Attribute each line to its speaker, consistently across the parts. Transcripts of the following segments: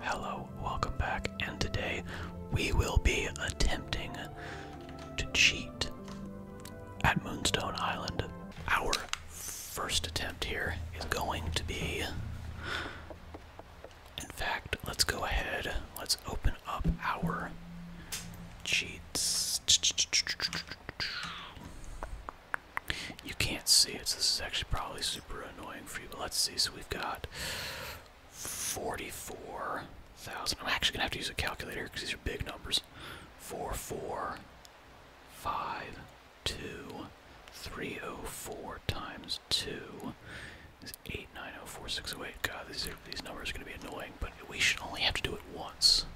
Speaker 1: Hello, welcome back, and today we will be attempting to cheat at Moonstone Island. Our first attempt here is going to be. In fact, let's go ahead, let's open up our cheats. You can't see it, so this is actually probably super annoying let's see. So we've got 44,000. I'm actually going to have to use a calculator because these are big numbers. 4, 4, 5, 2, 304 times 2 is 890468. God, these, these numbers are going to be annoying, but we should only have to do it once.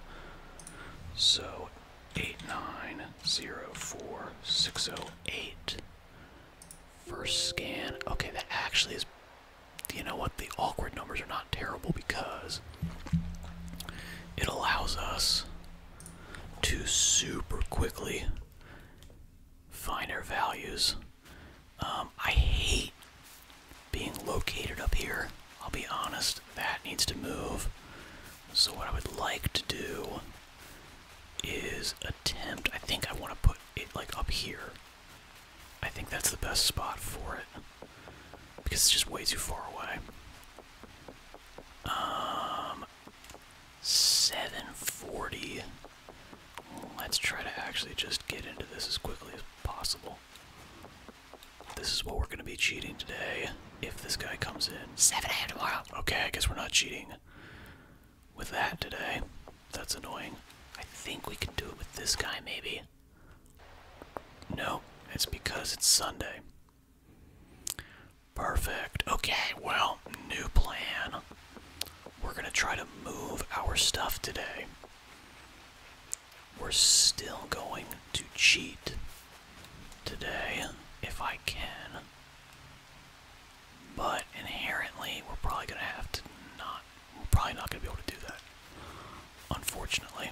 Speaker 1: So 890468 First scan.
Speaker 2: Okay, that actually is. You know what? The awkward numbers are not terrible because it allows us to super quickly find our values. Um, I hate being located up here.
Speaker 1: I'll be honest, that needs to move. So, what I would like to do is attempt. I think I want to put it like up here. I think that's the best spot for it because it's just way too far away. Um, 740. Let's try to actually just get into this as quickly as possible. This is what we're going to be cheating today if this guy comes in. 7 a.m. tomorrow. Okay, I guess we're not cheating with that today. That's annoying. I think we can do it with this guy, maybe. No, it's because it's Sunday. Perfect. Okay, well, new plan. We're gonna try to move our stuff today. We're still going to cheat today if I can. But inherently, we're probably gonna have to not. We're probably not gonna be able to do that, unfortunately.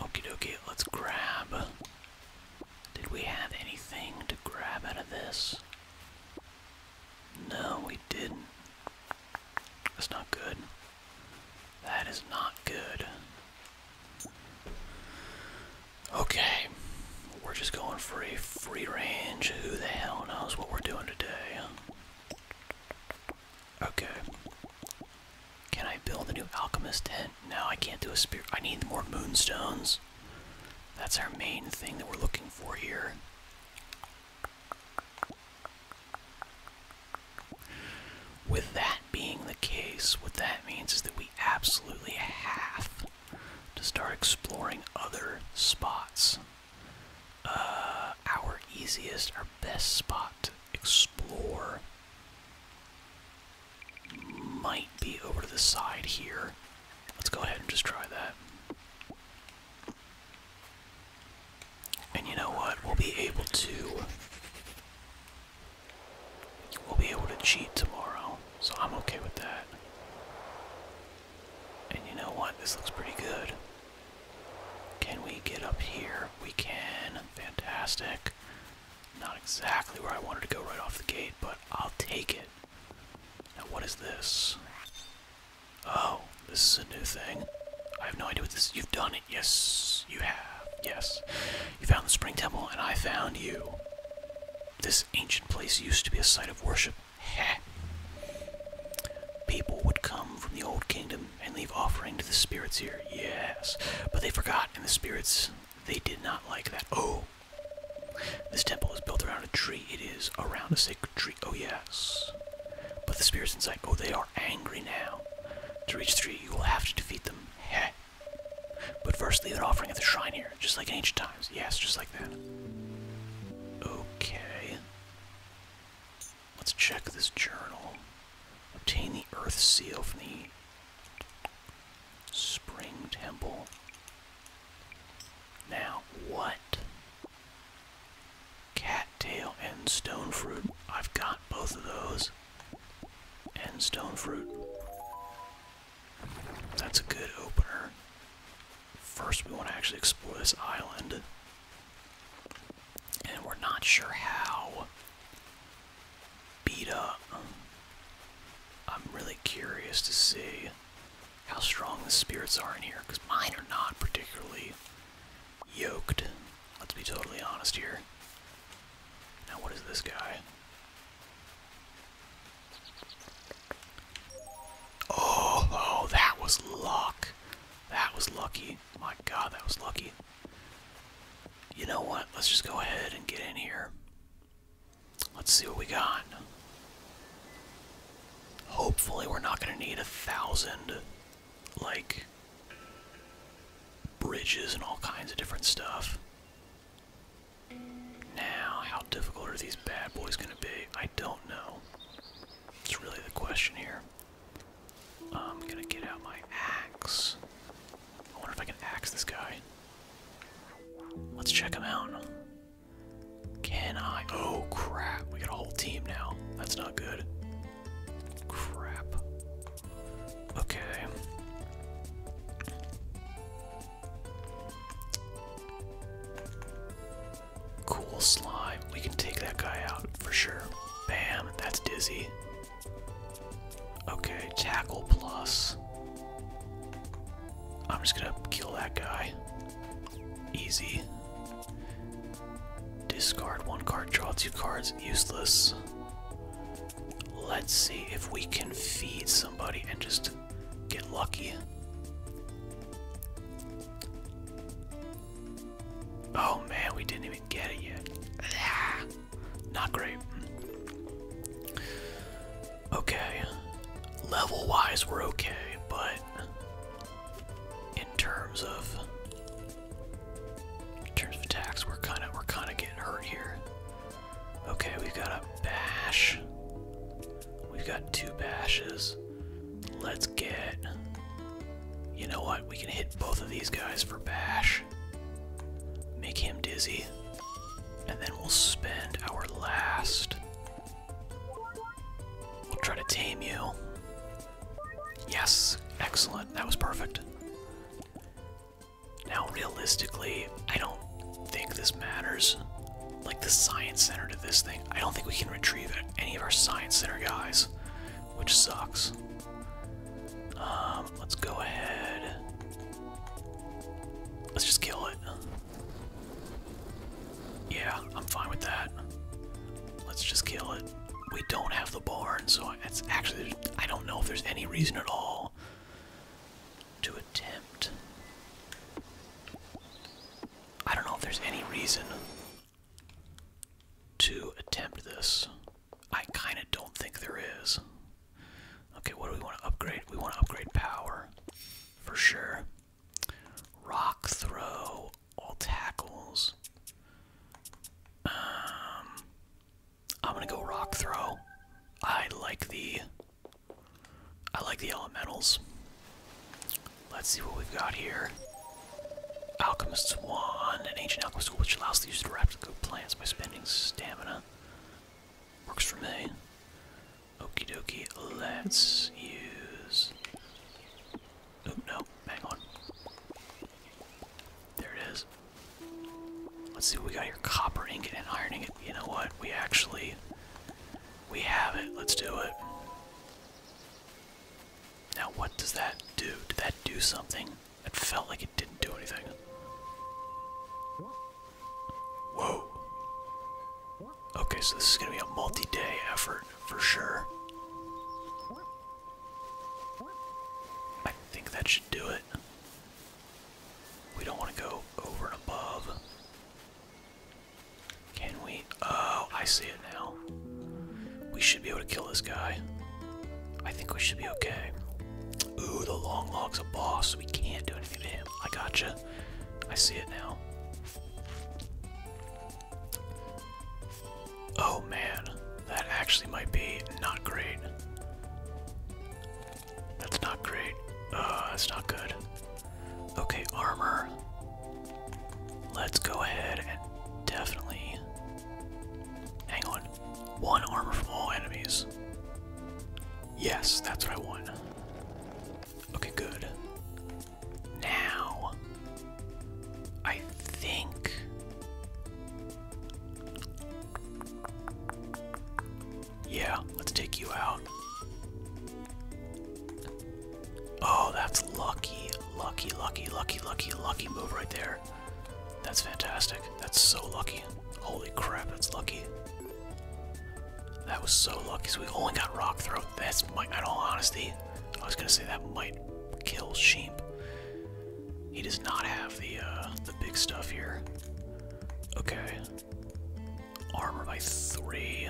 Speaker 1: Okie dokie, let's grab. Did we have anything to grab out of this? No, we didn't. That's not good. That is not good. Okay, we're just going for a free range. Who the hell knows what we're doing today? Okay. Can I build a new alchemist tent? No, I can't do a spirit. I need more moonstones. That's our main thing that we're looking for here. With that being the case, what that means is that we absolutely have to start exploring other spots. Uh, our easiest, our best spot to explore might be over to the side here. Let's go ahead and just try that. And you know what? We'll be able to we'll be able to cheat tomorrow, so I'm okay with that. And you know what? This looks pretty good. Can we get up here? We can. Fantastic. Not exactly where I wanted to go right off the gate, but I'll take it. Now, what is this? Oh, this is a new thing. I have no idea what this is. You've done it. Yes, you have. Yes. You found the spring temple, and I found you. This ancient place used to be a site of worship. Heh. People would come from the old kingdom and leave offering to the spirits here. Yes. But they forgot, and the spirits, they did not like that. Oh. This temple is built around a tree. It is around a sacred tree. Oh, yes. But the spirits inside, oh, they are angry now. To reach the tree, you will have to defeat them. Heh. But firstly, they're offering at the shrine here, just like in ancient times. Yes, just like that. Okay. Let's check this journal. Obtain the earth seal from the spring temple. Now, what? Cattail and stone fruit. I've got both of those. And stone fruit. That's a good opener. First, we want to actually explore this island. And we're not sure how Beta, I'm really curious to see how strong the spirits are in here, because mine are not particularly yoked. Let's be totally honest here. Now, what is this guy? Oh, oh, that was luck. That was lucky. My god, that was lucky. You know what? Let's just go ahead and get in here. Let's see what we got. Hopefully, we're not going to need a thousand, like, bridges and all kinds of different stuff. Now, how difficult are these bad boys going to be? I don't know. It's really the question here. I'm going to get out my axe. I wonder if I can axe this guy. Let's check him out. Can I? Oh, crap. We got a whole team now. That's not good. Crap. Okay. Cool slime. We can take that guy out for sure. Bam, that's dizzy. Okay, tackle plus. I'm just gonna kill that guy. Easy. Discard one card, draw two cards, useless. Let's see if we can feed somebody and just get lucky. Oh man, we didn't even get it yet. not great. Okay, level wise, we're okay, but in terms of in terms of attacks, we're kind of we're kind of getting hurt here. Okay, we've got a bash. We've got two bashes. Let's get. You know what? We can hit both of these guys for bash. Make him dizzy. And then we'll spend our last. We'll try to tame you. Yes, excellent. That was perfect. Now, realistically, I don't think this matters. Like the Science Center to this thing, I don't think we can retrieve any of our Science Center guys, which sucks. Um, let's go ahead. Let's just kill it. Yeah, I'm fine with that. Let's just kill it. We don't have the barn, so it's actually, I don't know if there's any reason at all to attempt. I don't know if there's any reason to attempt
Speaker 2: this. I kind of don't think there is. Okay, what do we want to upgrade?
Speaker 1: We want to upgrade power for sure. Rock throw, all tackles. Um, I'm gonna go rock throw. I like the I like the elementals. Let's see what we've got here. Alchemist's Wand, an ancient alchemist which allows the user to replicate plants by spending stamina. Works for me. Okie dokie, let's use. Oh no, hang on. There it is. Let's see what we got here. Copper ingot and iron ingot. You know what? We actually we have it. Let's do it. Now, what does that do? Did that do something? It felt like it didn't do anything. Whoa. Okay, so this is going to be a multi day effort for sure. I think that should do it. We don't want to go over and above. Can we? Oh, I see it now. We should be able to kill this guy. I think we should be okay. Ooh, the long log's a boss. we can't do anything to him. I gotcha. I see it now. Oh man, that actually might be not great. That's not great. Uh, that's not good. Okay, armor. Let's go ahead and definitely. Hang on. One armor from all enemies. Yes, that's what I want. Okay, good. Now, I think. Yeah, let's take you out. Oh, that's lucky, lucky, lucky, lucky, lucky, lucky move right there. That's fantastic. That's so lucky. Holy crap, that's lucky. That was so lucky. So we only got rock throw. That's my, in all honesty, I was gonna say that might kill sheep. He does not have the uh, the big stuff here. Okay. Armor by three.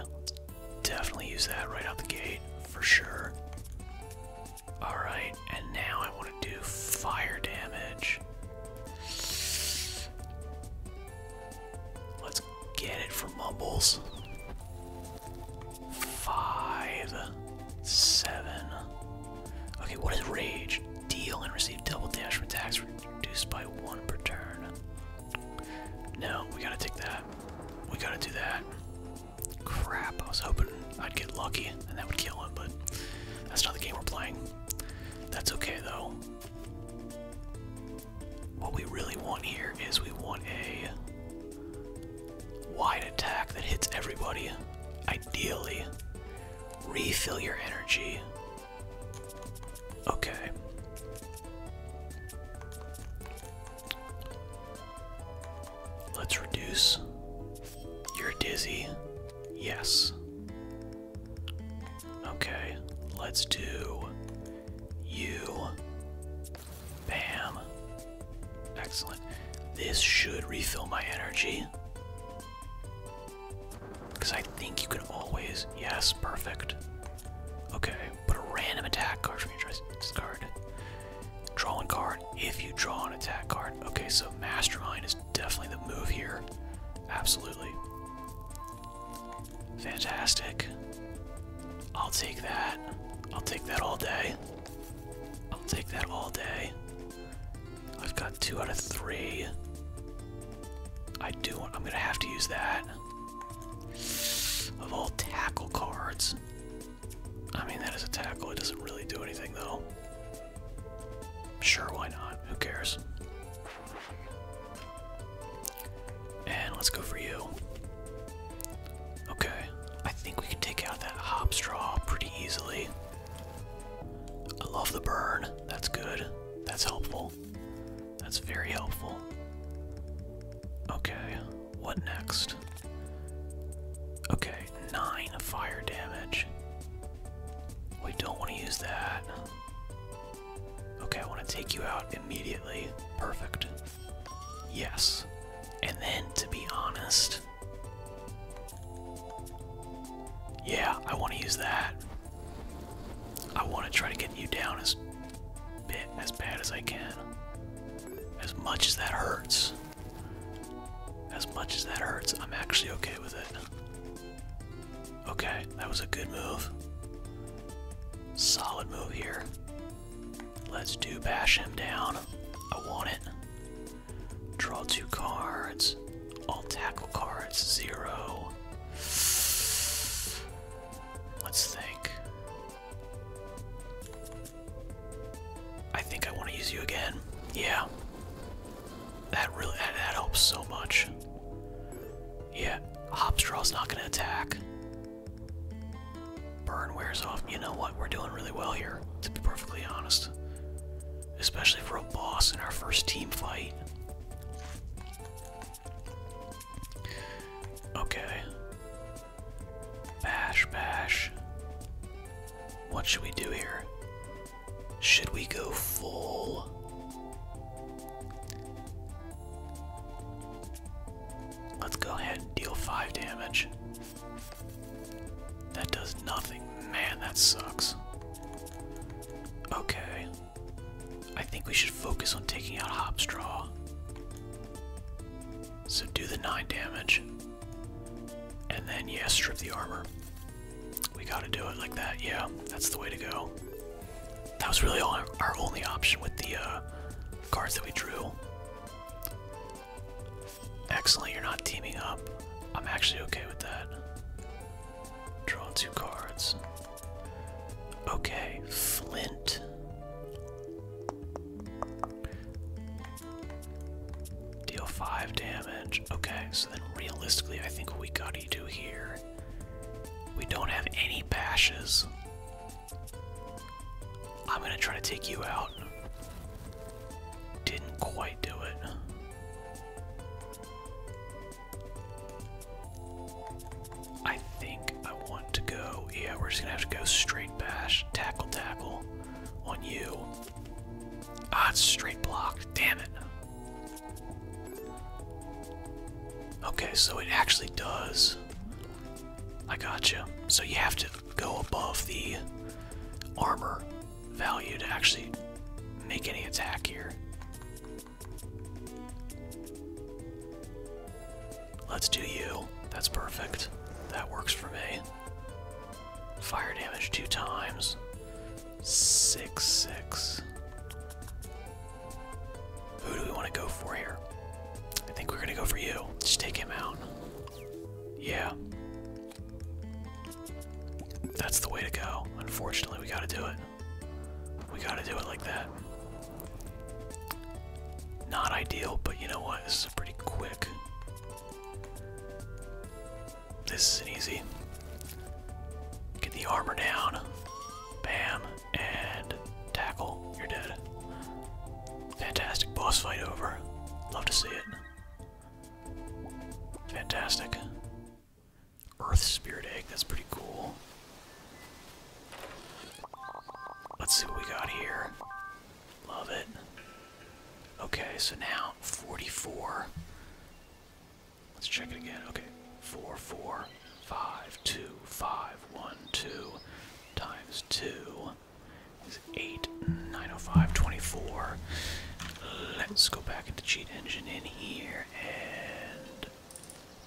Speaker 1: Definitely use that right out the gate for sure. Alright, and now I want to do fire damage. Let's get it for Mumbles. Five, seven. Okay, what is rage? Deal and receive double damage attacks Reduced by one per turn. No, we gotta take that. We gotta do that. Crap, I was hoping I'd get lucky and that would kill him, but that's not the game we're
Speaker 2: playing. That's okay though. What we really want here
Speaker 1: is we want a wide attack that hits everybody. Ideally, refill your energy Okay. Let's reduce. You're dizzy. Yes. Okay, let's do you. Bam. Excellent. This should refill my energy. Because I think you can always. Yes, perfect. Okay, but a random attack card from your discard. Draw one card if you draw an attack card. Okay, so Mastermind is definitely the move here. Absolutely. Fantastic. I'll take that. I'll take that all day. I'll take that all day. I've got two out of three. I do I'm gonna have to use that. Of all tackle cards. I mean, that is a tackle. It doesn't really do anything, though. Sure, why not? Who cares? And let's go for you. Okay. I think we can take out that hop straw pretty easily. I love the burn. That's good. That's helpful. That's very helpful. Okay, what next? Okay, nine fire damage. We don't want to use that. Okay, I want to take you out immediately. Perfect. Yes. And then, to be honest, yeah, I want to use that. I want to try to get you down as bit as bad as I can. As much as that hurts. As much as that hurts, I'm actually okay with it. Okay, that was a good move. Solid move here. Let's do bash him down. I want it. Draw two cards. All tackle cards, zero. Let's think. I think I want to use you again. Yeah. That really that, helps so much. Yeah, Hopstraw's not gonna attack. Burn wears off. You know what? We're doing really well here, to be perfectly honest. Especially for a boss in our first team fight. Okay. Bash, bash. What should we do here? Should we go full? Let's go ahead and deal 5 damage. That does nothing. Man, that sucks. Okay. I think we should focus on taking out Hopstraw. So do the 9 damage. And then, yeah, strip the armor. We gotta do it like that, yeah. That's the way to go. That was really our, only option with the uh, cards that we drew. Excellent, you're not teaming up. I'm actually okay with that. Draw two cards. Okay, Flint. Deal five damage. Okay, so then realistically, I think what we gotta do here. We don't have any bashes. I'm gonna try to take you out. Didn't quite do it. I think I want to go. Yeah, we're just gonna have to go straight bash, tackle, tackle on you. Ah, it's straight block. Damn it. Okay, so it actually does. I got you. So you have to go above the armor value to actually make any attack here. Let's do you. That's perfect. That works for me. Fire damage two times. Six, six. Who do we want to go for here? I think we're going to go for you. Just take him out. Yeah. That's the way to go. Unfortunately, we got to do it. We gotta do it like that. Not ideal, but you know what? This is pretty quick. This is an easy. Get the armor down. Bam. And tackle. You're dead. Fantastic boss fight over. Love to see it. Fantastic. Earth Spirit Egg, that's pretty cool. Let's see what we got here. Love it. Okay, so now 44. Let's check it again. Okay, 4, 4, 5, 2, 5, 1, 2, times 2 is 8, 905, 24. Let's go back into Cheat Engine in here and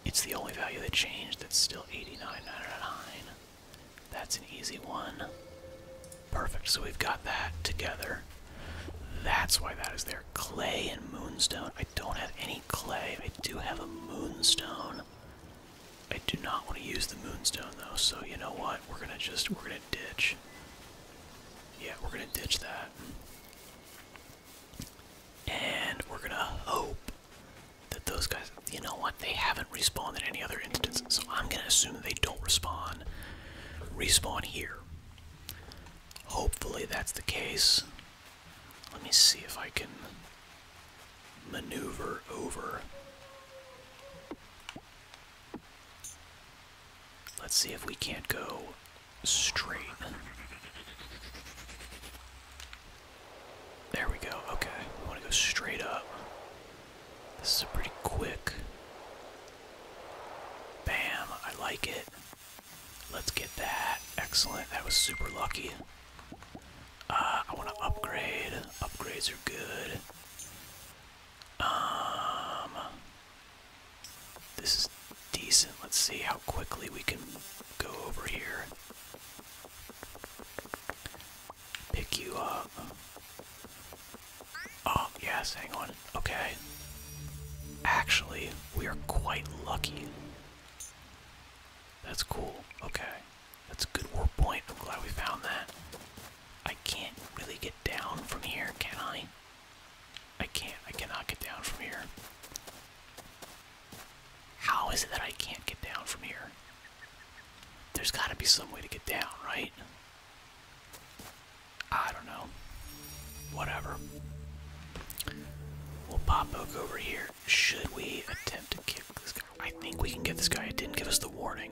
Speaker 1: it's the only value that changed that's still 89.99. That's an easy one. Perfect, so we've got that together. That's why that is there. Clay and moonstone. I don't have any clay. I do have a moonstone. I do not want to use the moonstone though, so you know what? We're gonna just, we're gonna ditch. Yeah, we're gonna ditch that. And we're gonna hope that those guys, you know what, they haven't respawned in any other instance, so I'm gonna assume they don't respawn, respawn here. Hopefully that's the case. Let me see if I can maneuver over. Let's see if we can't go straight. There we go. Okay, we want to go straight up. This is a pretty quick. Bam, I like it. Let's get that. Excellent. That was super lucky. Uh, I want to upgrade. Upgrades are good. Um, this is decent. Let's see how quickly we can go over here. Pick you up. Oh, yes, hang on. Okay. Actually, we are quite lucky. That's cool. Okay. That's a good war point. I'm glad we found that. I can't really get down from here, can I? I can't. I cannot get down from here. How is it that I can't get down from here? There's gotta be some way to get down, right? I don't know. Whatever. We'll pop over here. Should we attempt to kick this guy? I think we can get this guy. It didn't give us the warning.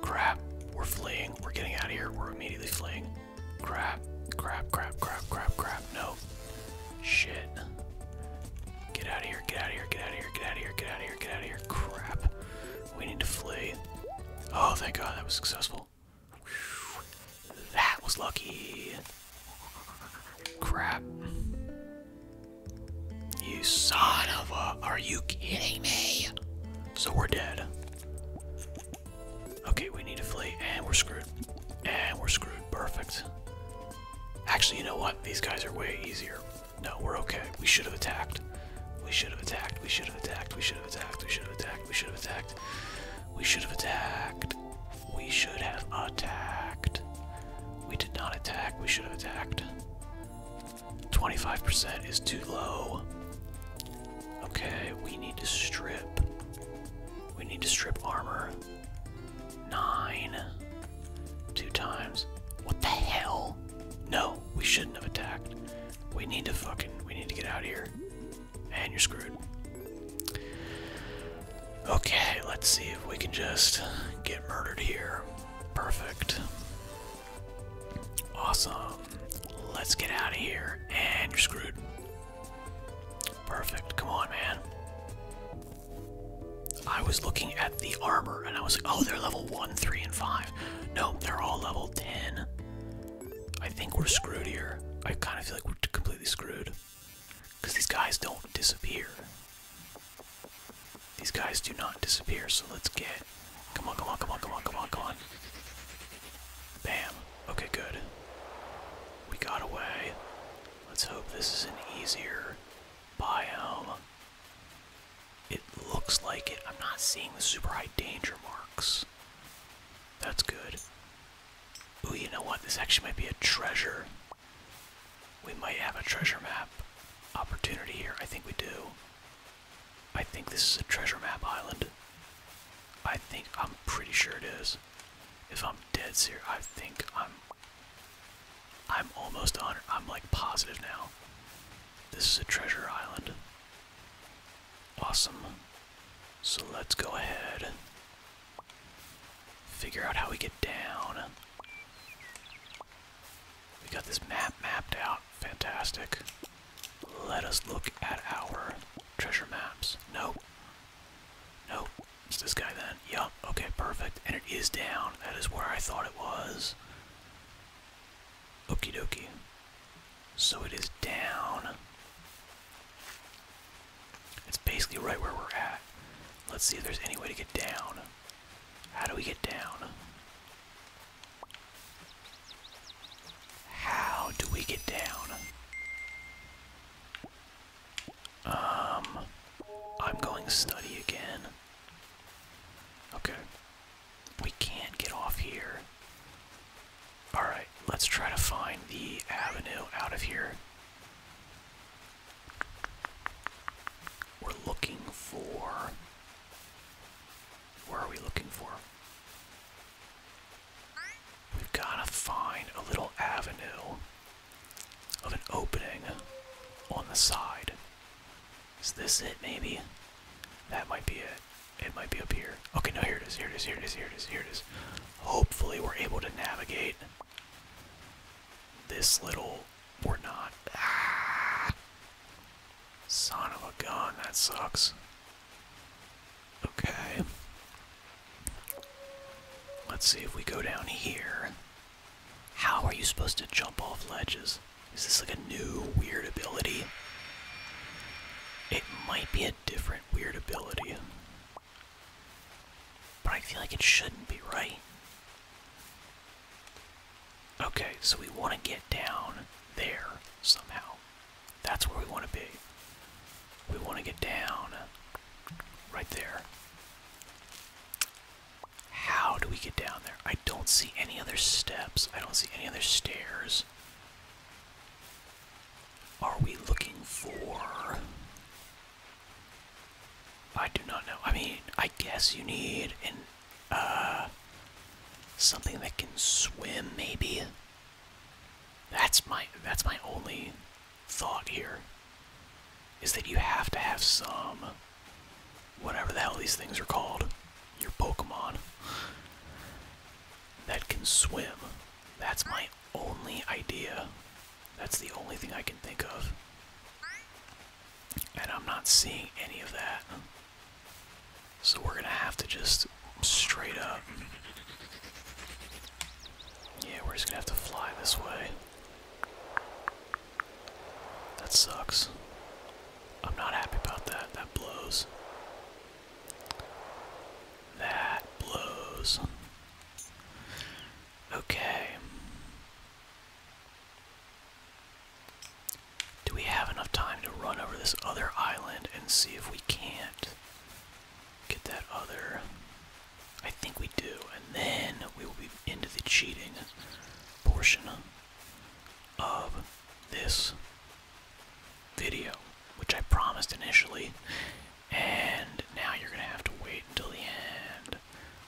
Speaker 1: Crap. We're fleeing. We're getting out of here. We're immediately fleeing. Crap. Crap, crap, crap, crap, crap. No. Shit. Get out of here, get out of here, get out of here, get out of here, get out of here, get out of here. Crap. We need to flee. Oh, thank God, that was successful. That was lucky. Crap. You son of a. Are you kidding me? So we're dead. Okay, we need to flee, and we're screwed. And we're screwed. Perfect. Actually, you know what? These guys are way easier. No, we're okay. We should have attacked. We should have attacked. We should have attacked. We should have attacked. We should have attacked. We should have attacked. We should have attacked. We should have attacked. We did not attack. We should have attacked. 25% is too low. Okay, we need to strip. We need to strip armor. Nine. Two times. What the hell? No, we shouldn't have attacked. We need to fucking, we need to get out of here. And you're screwed. Okay, let's see if we can just get murdered here. Perfect. Awesome. Let's get out of here. And you're screwed. Perfect. Come on, man. I was looking at the armor and I was like, oh, they're level 1, 3, and 5. No, they're all level 10. I think we're screwed here. I kind of feel like we're completely screwed. Because these guys don't disappear. These guys do not disappear, so let's get. Come on, come on, come on, come on, come on, come on. Bam. Okay, good. We got away. Let's hope this is an easier biome. It looks like it. I'm not seeing the super high danger marks. That's good. Oh, you know what? This actually might be a treasure. We might have a treasure map opportunity here. I think we do. I think this is a treasure map island. I think, I'm pretty sure it is. If I'm dead serious, I think I'm I'm almost 100. I'm like positive now. This is a treasure island. Awesome. So let's go ahead. Figure out how we get down. We got this map mapped out. Fantastic. Let us look at our treasure maps. Nope. Nope, it's this guy then. Yup, okay, perfect. And it is down. That is where I thought it was. Okie dokie. So it is down. It's basically right where we're at. Let's see if there's any way to get down. How do we get down? How do we get down? Um, I'm going to study again. Okay. We can't get off here. Alright, let's try to find the avenue out of here. We're looking for. Where are we looking for? we got to find a little avenue of an opening on the side. Is this it, maybe? That might be it. It might be up here. Okay, no, here it is, here it is, here it is, here it is, here it is. Hopefully, we're able to navigate this little. We're ah! Son of a gun, that sucks. Okay. Let's see if we go down here. How are you supposed to jump off ledges? Is this like a new weird ability? It might be a different weird ability. But I feel like it shouldn't be, right? Okay, so we want to get down there somehow. That's where we want to be. We want to get down right there. How do we get down there? I don't see any other steps. I don't see any other stairs. Are we looking for. I do not know. I mean, I guess you need Uh. Something that can swim, maybe. That's my that's my only thought here is that you have to have some whatever the hell these things are called your pokemon that can swim that's my only idea that's the only thing i can think of and i'm not seeing any of that so we're gonna have to just straight up yeah, we're just gonna have to fly this way. That sucks. I'm not happy about that. That blows. That blows. Okay. Do we have enough time to run over this other island and see if we can't Get that other. I think we do, and then we will be into the cheating portion of this video, which I promised initially, and now you're gonna have to wait until the end,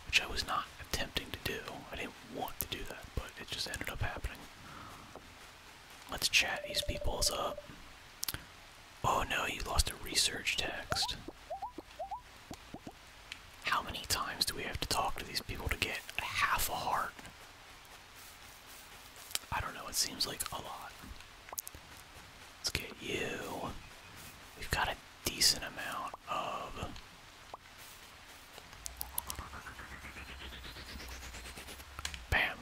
Speaker 1: which I was not attempting to do. I didn't want to do that, but it just ended up happening. Let's chat these peoples up. Oh no, you lost a research text. How many times do we have to talk to these people to get half a heart? I don't know, it seems like a lot. Let's get you. We've got a decent amount of. Bam.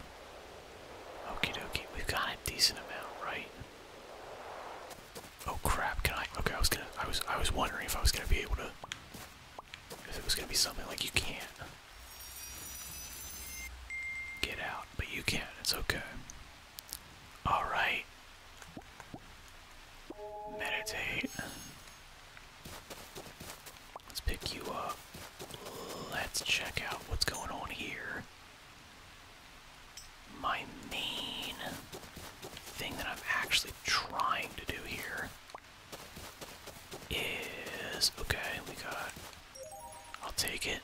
Speaker 1: Okie dokie, we've got a decent amount, right? Oh crap! Can I? Okay, I was gonna. I was. I was wondering if I was gonna be able to. If it was gonna be something like you can't get out, but you can. It's okay. All right. Meditate. Let's pick you up. Let's check out what's going on here my main thing that I'm actually trying to do here is okay, we got I'll take it.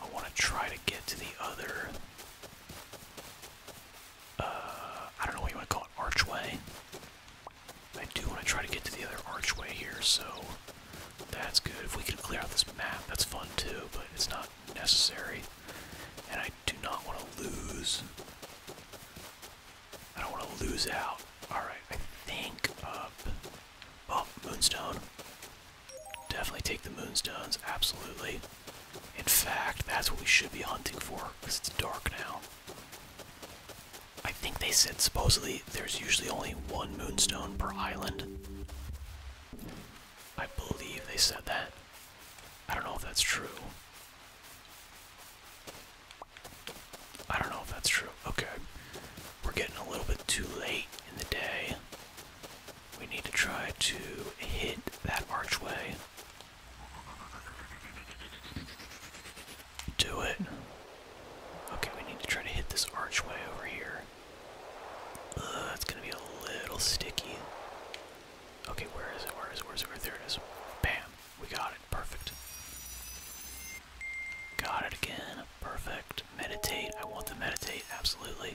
Speaker 1: I want to try to get to the other uh I don't know what you want to call it archway. I do want to try to get to the other archway here, so that's good. If we can clear out this map, that's fun too, but it's not necessary. And I do not want to lose. I don't want to lose out. Alright, I think Oh, Moonstone. Definitely take the Moonstones, absolutely. In fact, that's what we should be hunting for, because it's dark now. I think they said supposedly there's usually only one Moonstone per island. I believe they said that. I don't know if that's true. I don't know if that's true. Okay. We're getting a little bit too late in the day. We need to try to hit that archway. Do it. Okay, we need to try to hit this archway over here that's uh, gonna be a little sticky. Okay, where is it? Where is it? Where is it? Where, there it is. Bam! We got it. Perfect. Got it again. Perfect. Meditate. I want to meditate. Absolutely.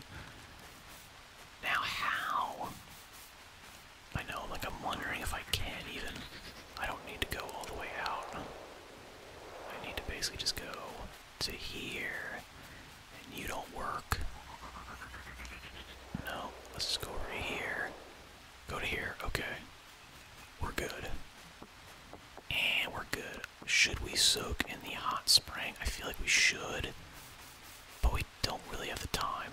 Speaker 1: Now, how? I know, like, I'm wondering if I can even. I don't need to go all the way out. I need to basically just go to here and you don't work. No, let's just go over to here. Go to here, okay. We're good. And we're good. Should we soak in the hot spring? I feel like we should, but we don't really have the time.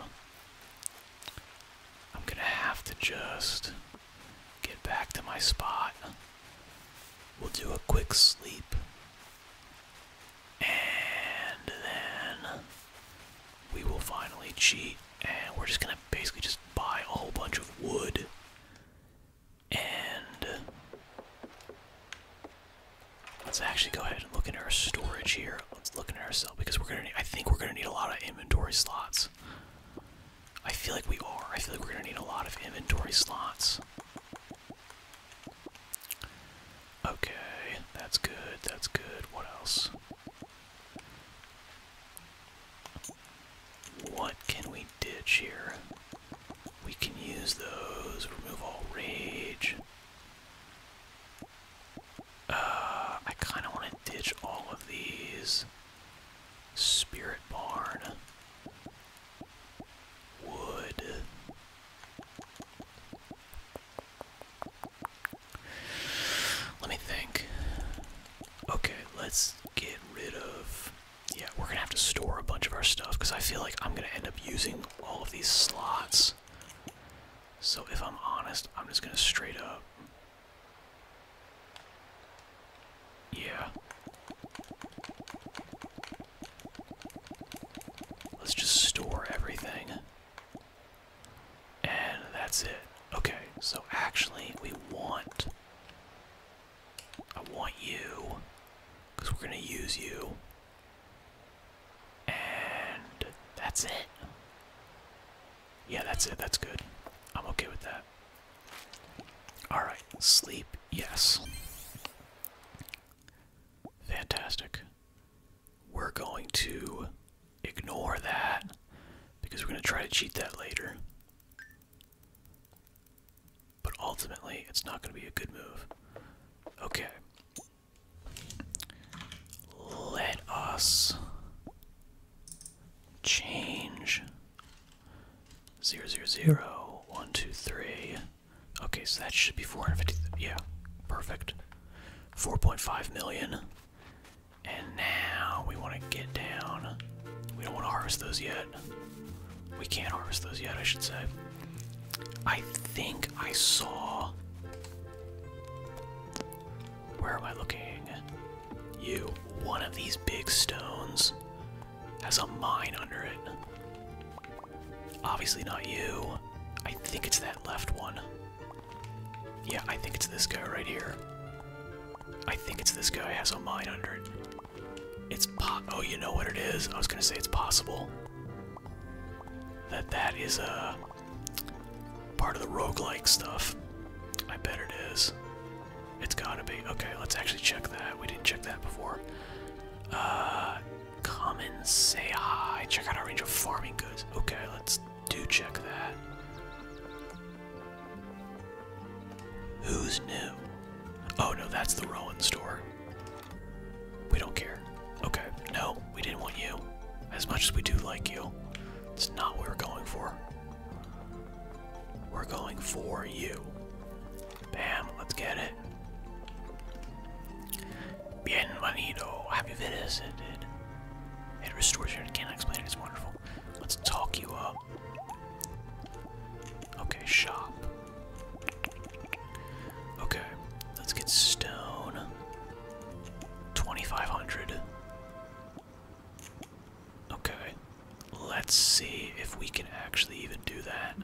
Speaker 1: I'm gonna have to just get back to my spot. We'll do a quick sleep and then we will finally cheat and we're just gonna basically just buy a whole bunch of wood and let's actually go ahead and look into our storage here. Let's look into our ourselves because we're gonna I think we're gonna need a lot of inventory slots. I feel like we are. I feel like we're gonna need a lot of inventory slots. Okay, that's good, that's good. What else? What can we ditch here? We can use those, remove all rage. Uh, I kind of want to ditch all of these. Spirit Barn. Wood. Let me think. Okay, let's get rid of. Yeah, we're gonna have to store a bunch of our stuff because I feel like I'm gonna end up using all of these slots. So if I'm honest, I'm just gonna straight up. Yeah. Let's just store everything. And
Speaker 2: that's it. Okay, so actually, we want. I want you. Because we're going to use you.
Speaker 1: And that's it. Yeah, that's it. That's good. I'm okay with that. Alright, sleep, yes. Fantastic. We're going to ignore that because we're going to try to cheat that later. But ultimately, it's not going to be a good move. Okay. Let us change 0, 0, 0, 1, 2, 3. Okay, so that should be 450. Yeah, perfect. 4.5 million. And now we want to get down. We don't want to harvest those yet. We can't harvest those yet, I should say. I think I saw. Where am I looking? You. One of these big stones has a mine under it. Obviously not you. I think it's that left one. Yeah, I think it's this guy right here. I think it's this guy has a mine under it. It's po- oh, you know what it is? I was gonna say it's possible. That that is, a uh, part of the rogue-like stuff. I bet it is. It's gotta be. Okay, let's actually check that. We didn't check that before. Uh, Come and say hi. Check out our range of farming goods. Okay, let's do check that. Who's new? Oh no, that's the Rowan store. We don't care. Okay, no, we didn't want you. As much as we do like you, it's not what we're going for. We're going for you. Bam, let's get it. Bienvenido, happy visited. It restores your, can't explain it, it's wonderful. Let's talk you up. Okay, shop. Okay, let's get stone. 2500. Okay, let's see if we can actually even do that.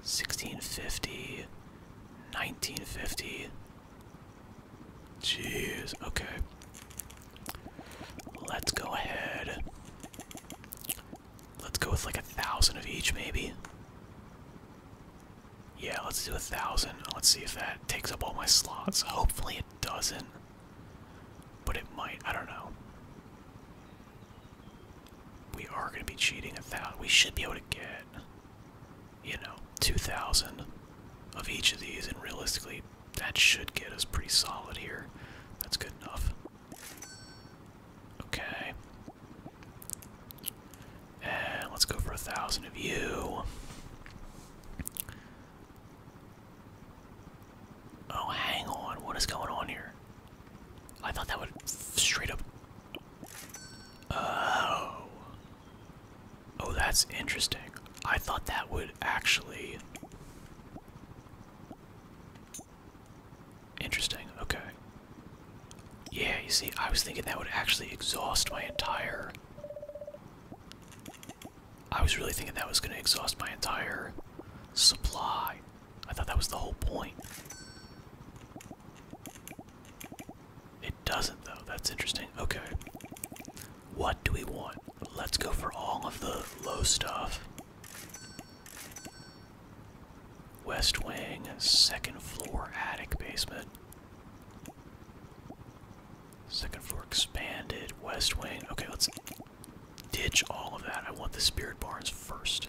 Speaker 1: 1650, 1950. Jeez, okay. Let's go ahead. Let's go with like a thousand of each, maybe. Yeah, let's do a thousand. Let's see if that takes up all my slots. Hopefully, it doesn't. But it might. I don't know we are going to be cheating a thousand. We should be able to get, you know, 2,000 of each of these, and realistically, that should get us pretty solid here. That's good enough. Okay. And let's go for a thousand of you. Oh, hang on. What is going on here? I thought that would straight up. Oh. Oh, that's interesting. I thought that would actually. Interesting, okay. Yeah, you see, I was thinking that would actually exhaust my entire. I was really thinking that was going to exhaust my entire supply. I thought that was the whole point. It doesn't, though. That's interesting. Okay. What do we want? Let's go for all of the low stuff. West wing, second floor, attic, basement. Second floor expanded, west wing. Okay, let's ditch all of that. I want the spirit barns first.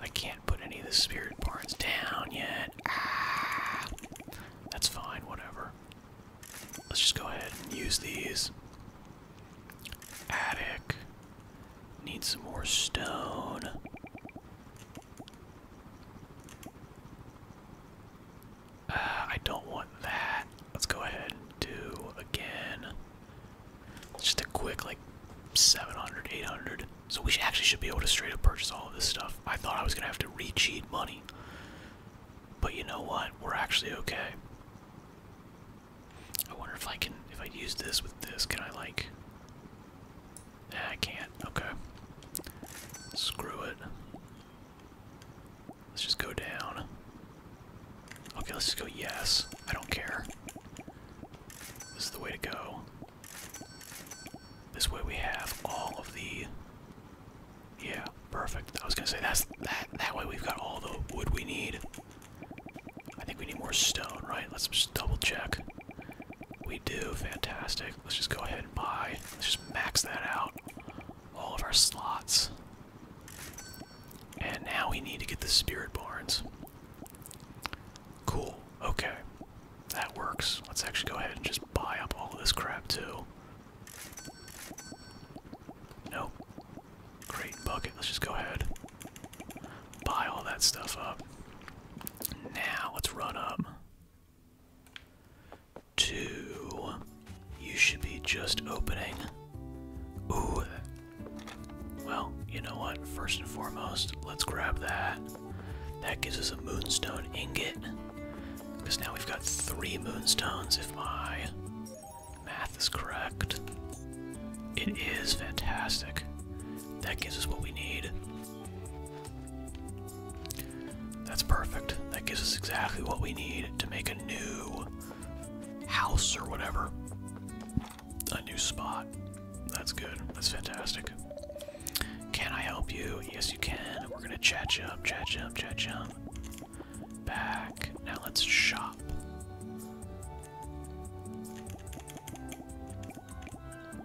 Speaker 1: I can't put any of the spirit barns down yet. Ah, that's fine, whatever. Let's just go ahead and use these. Attic. Need some more stone. Ah, I don't want that. Let's go ahead and do again. Just a quick like 700, 800. So we actually should be able to straight up purchase all of this stuff. I thought I was gonna have to re-cheat money. But you know what? We're actually okay. I wonder if I can, if I use this with this, can I like, eh, I can't, okay. Screw it. Let's just go down. Okay, let's just go yes. I don't care. This is the way to go. This way we have all of the. Yeah, perfect. I was gonna say that's that. That way we've got all the wood we need. I think we need more stone, right? Let's just double check. We do. Fantastic. Let's just go ahead and buy. Let's just max that out. All of our slots. And now we need to get the spirit barns. Cool. Okay. That works. Let's actually go ahead and just buy up all of this crap too. Nope. Great bucket. Let's just go ahead. Buy all that stuff up. Now let's run up to you should be just opening. Ooh, well, you know what? First and foremost, let's grab that. That gives us a moonstone ingot. Because now we've got three moonstones, if my math is correct. It is fantastic. That gives us what we need.
Speaker 2: That's perfect. That gives us exactly what we need to make a
Speaker 1: new house or whatever a new spot. That's good. That's fantastic. Can I help you? Yes, you can. We're gonna chat jump, chat jump, chat jump. Back. Now let's shop.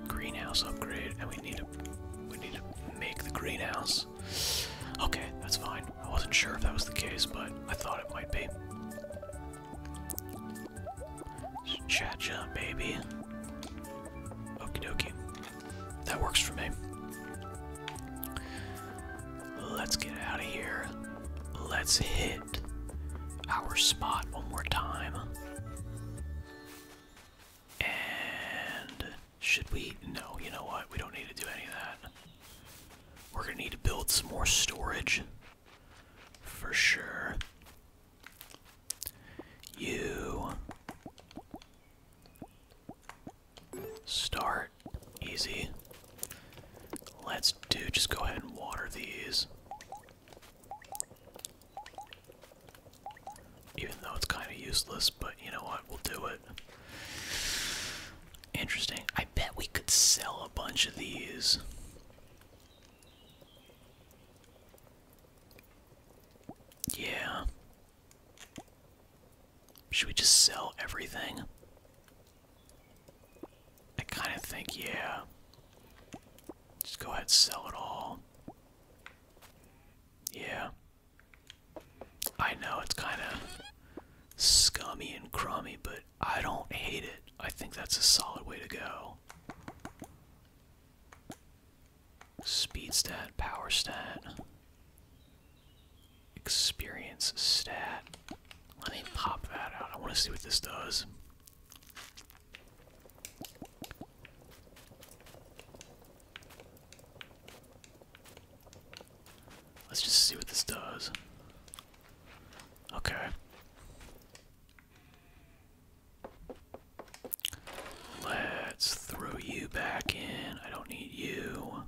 Speaker 1: Greenhouse upgrade, and we need to we need to make the greenhouse. Okay, that's fine. I wasn't sure if that was the case, but I thought it might be. Cha-cha, baby. Okie dokie. That works for me. Let's get out of here. Let's hit our spot one more time. And should we? No, you know what? We don't need to do any of that. We're gonna need to build some more storage for sure. You start easy. Let's do just go ahead and water these. Even though it's kind of useless, but you know what? We'll do it. Interesting. I bet we could sell a bunch of these. Yeah. Should we just sell everything? I kind of think, yeah. Just go ahead and sell it all. Yeah. I know it's kind of scummy and crummy, but I don't hate it. I think that's a solid way to go. Speed stat, power stat, experience stat. Let me pop that out. I want to see what this does. Let's just see what this does. Okay. Let's throw you back in. I don't need you.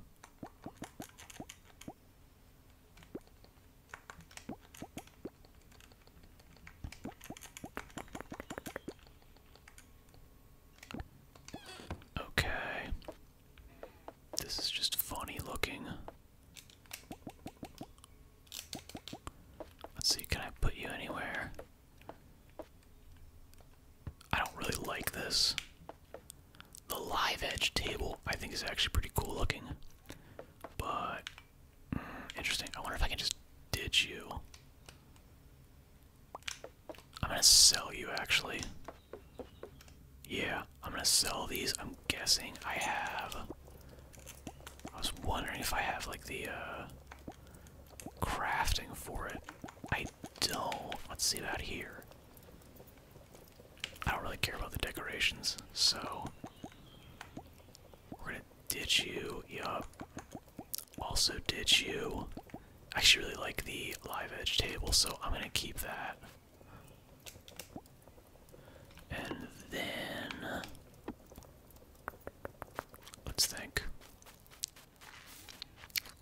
Speaker 1: Okay. This is just funny looking. Let's see, can I put you anywhere? I don't really like this. The live edge table I think is actually pretty cool looking. But, mm, interesting. I wonder if I can just ditch you. I'm gonna sell you actually. Yeah, I'm gonna sell these guessing I have. I was wondering if I have like the uh, crafting for it. I don't. Let's see that here. I don't really care about the decorations, so we're gonna ditch you. Yup. Also ditch you. actually really like the live edge table, so I'm gonna keep that. And then let's think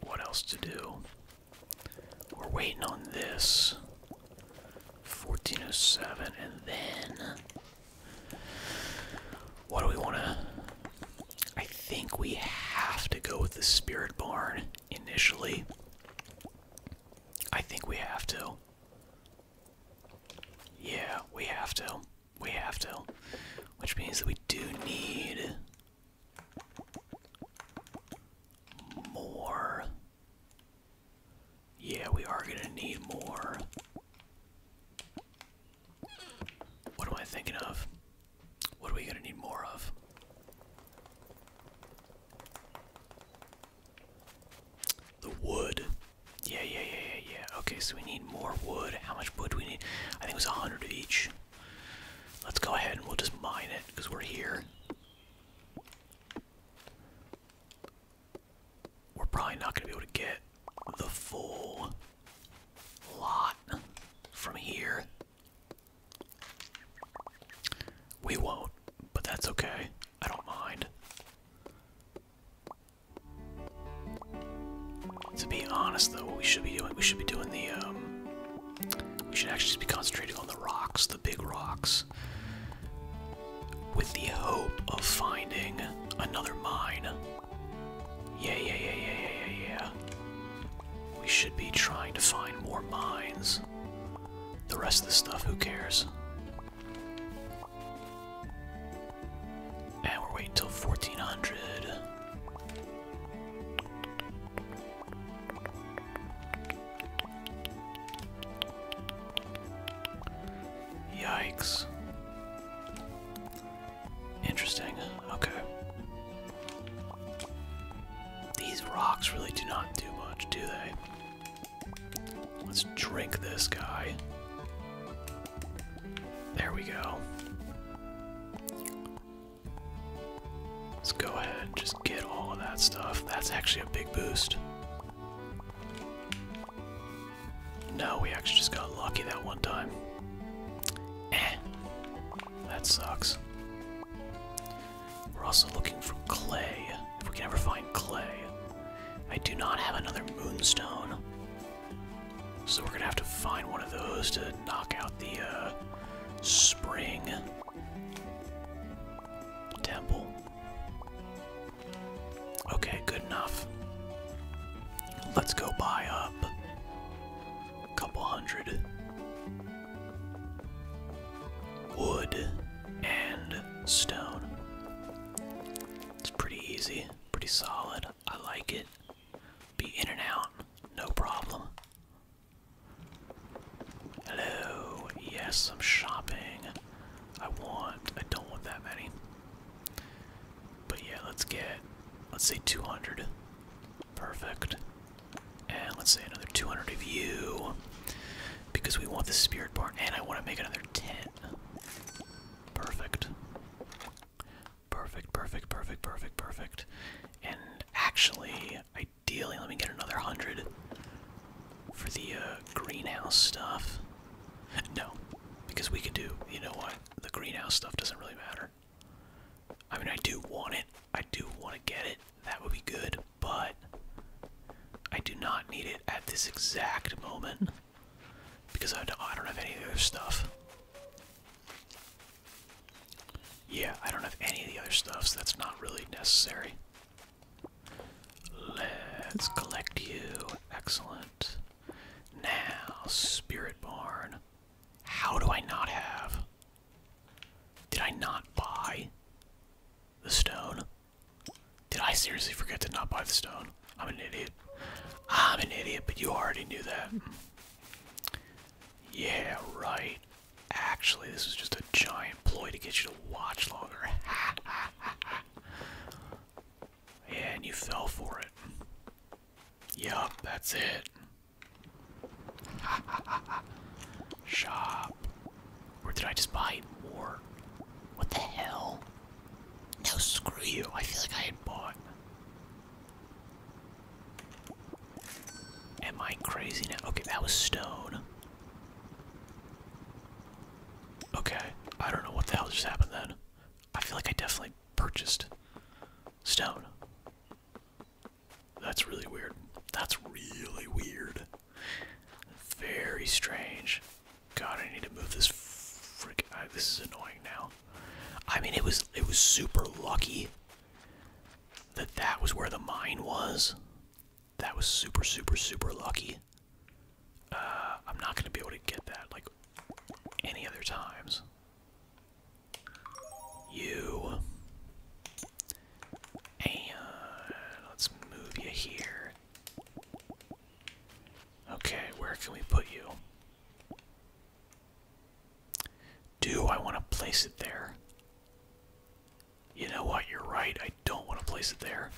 Speaker 1: what else to do. We're waiting on this 1407 and then what do we want to I think we have to go with the spirit barn initially. I think we have to. Yeah, we have to. We have to. Which means that we do need more. Yeah, we are gonna need more. What am I thinking of? What are we gonna need more of? The wood. Yeah, yeah, yeah, yeah, yeah. Okay, so we need more wood. How much wood do we need? I think it was 100 each. Let's go ahead and we'll just mine it because we're here. We're probably not going to be able to get the full lot from here. We won't, but that's okay. I don't mind. To be honest, though, what we should be doing, we should be doing the, um, we should actually be concentrating on the rocks, the big rocks, with the hope of finding another mine. Yeah, yeah, yeah, yeah, yeah, yeah, yeah. We should be trying to find more mines. The rest of this stuff, who cares? And we're waiting till 1400. Yikes. Interesting. Okay. These rocks really do not do much, do they? Let's drink this guy. There we go. Let's go ahead and just get all of that stuff. That's actually a big boost. No, we actually just got lucky that one time. Eh. That sucks. We're also looking for clay. If we can ever find clay. I do not have another moonstone. So we're gonna have to find one of those to knock out the uh, spring temple. Okay, good enough. Let's go buy up a couple hundred wood and stone. It's pretty easy, pretty solid. I like it. Be in and out, no problem. Hello, yes, I'm shopping. I want, I don't want that many. But yeah, let's get, let's say 200. Perfect. And let's say another 200 of you. Because we want the spirit bar, and I want to make another 10. Perfect. Perfect, perfect, perfect, perfect, perfect. And actually, ideally, let me get another 100 for the uh, greenhouse stuff. No, because we could do, you know what? The greenhouse stuff doesn't really matter. I mean, I do want it. I do want to get it. That would be good, but I do not need it at this exact moment. Because I don't, have any of the other stuff. Yeah, I don't have any of the other stuff, so that's not really necessary. Let's collect you. Excellent. Now, Spirit Barn. How do I not have. Did I not buy the stone? Did I seriously forget to not buy the stone? I'm an idiot. I'm an idiot, but you already knew that. Yeah, right. Actually, this was just a giant ploy to get you to watch longer. and you fell for it. Yup, that's it. Shop. Or did I just buy more? What the hell? No, screw you. I feel like I had bought. Am I crazy now? Okay, that was stone. Okay, I don't know what the hell just happened then. I feel like I definitely purchased stone. That's really weird. That's really weird. Very strange. God, I need to move this freak. this is annoying now. I mean, it was it was super lucky that that was where the mine was. That was super, super, super lucky. Uh, I'm not gonna be able to get that like any other times. You and let's move you here. Okay, where can we put you? Do I want to place it there? You know what? You're right. I don't want to place it there.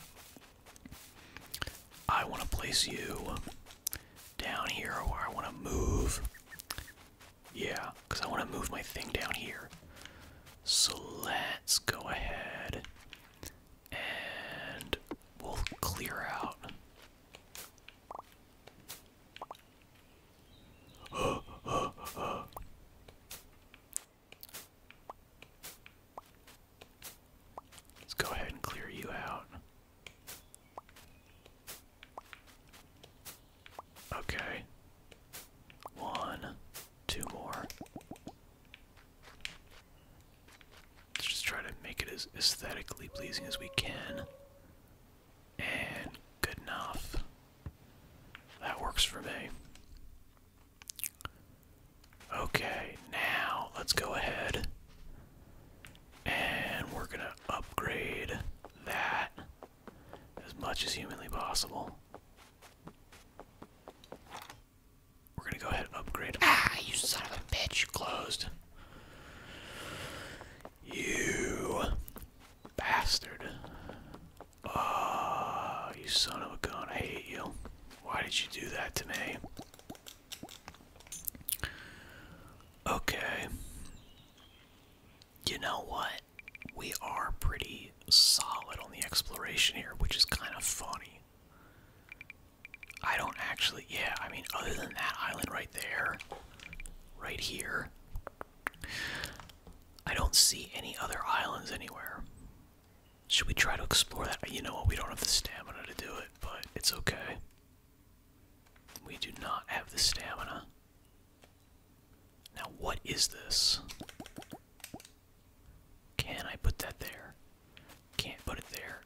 Speaker 1: I want to place you down here where I want to move. Yeah, because I want to move my thing down here. So let's go ahead and we'll clear out. Let's go ahead and clear you out. Okay. One, two more. Let's just try to make it as aesthetically pleasing as we can. And good enough. That works for me. Okay, now let's go ahead and we're gonna upgrade that as much as humanly possible. We're gonna go ahead and upgrade. Ah, you son of a bitch! Closed. You bastard. Oh, you son of a gun. I hate you. Why did you do that to me? Okay. You know what? We are pretty solid on the exploration here, which is kind of funny. I don't actually, yeah, I mean, other than that island right there, right here, I don't see any other islands anywhere. Should we try to explore that? You know what, we don't have the stamina to do it, but it's okay. We do not have the stamina. Now, what is this? Can I put that there? Can't put it there.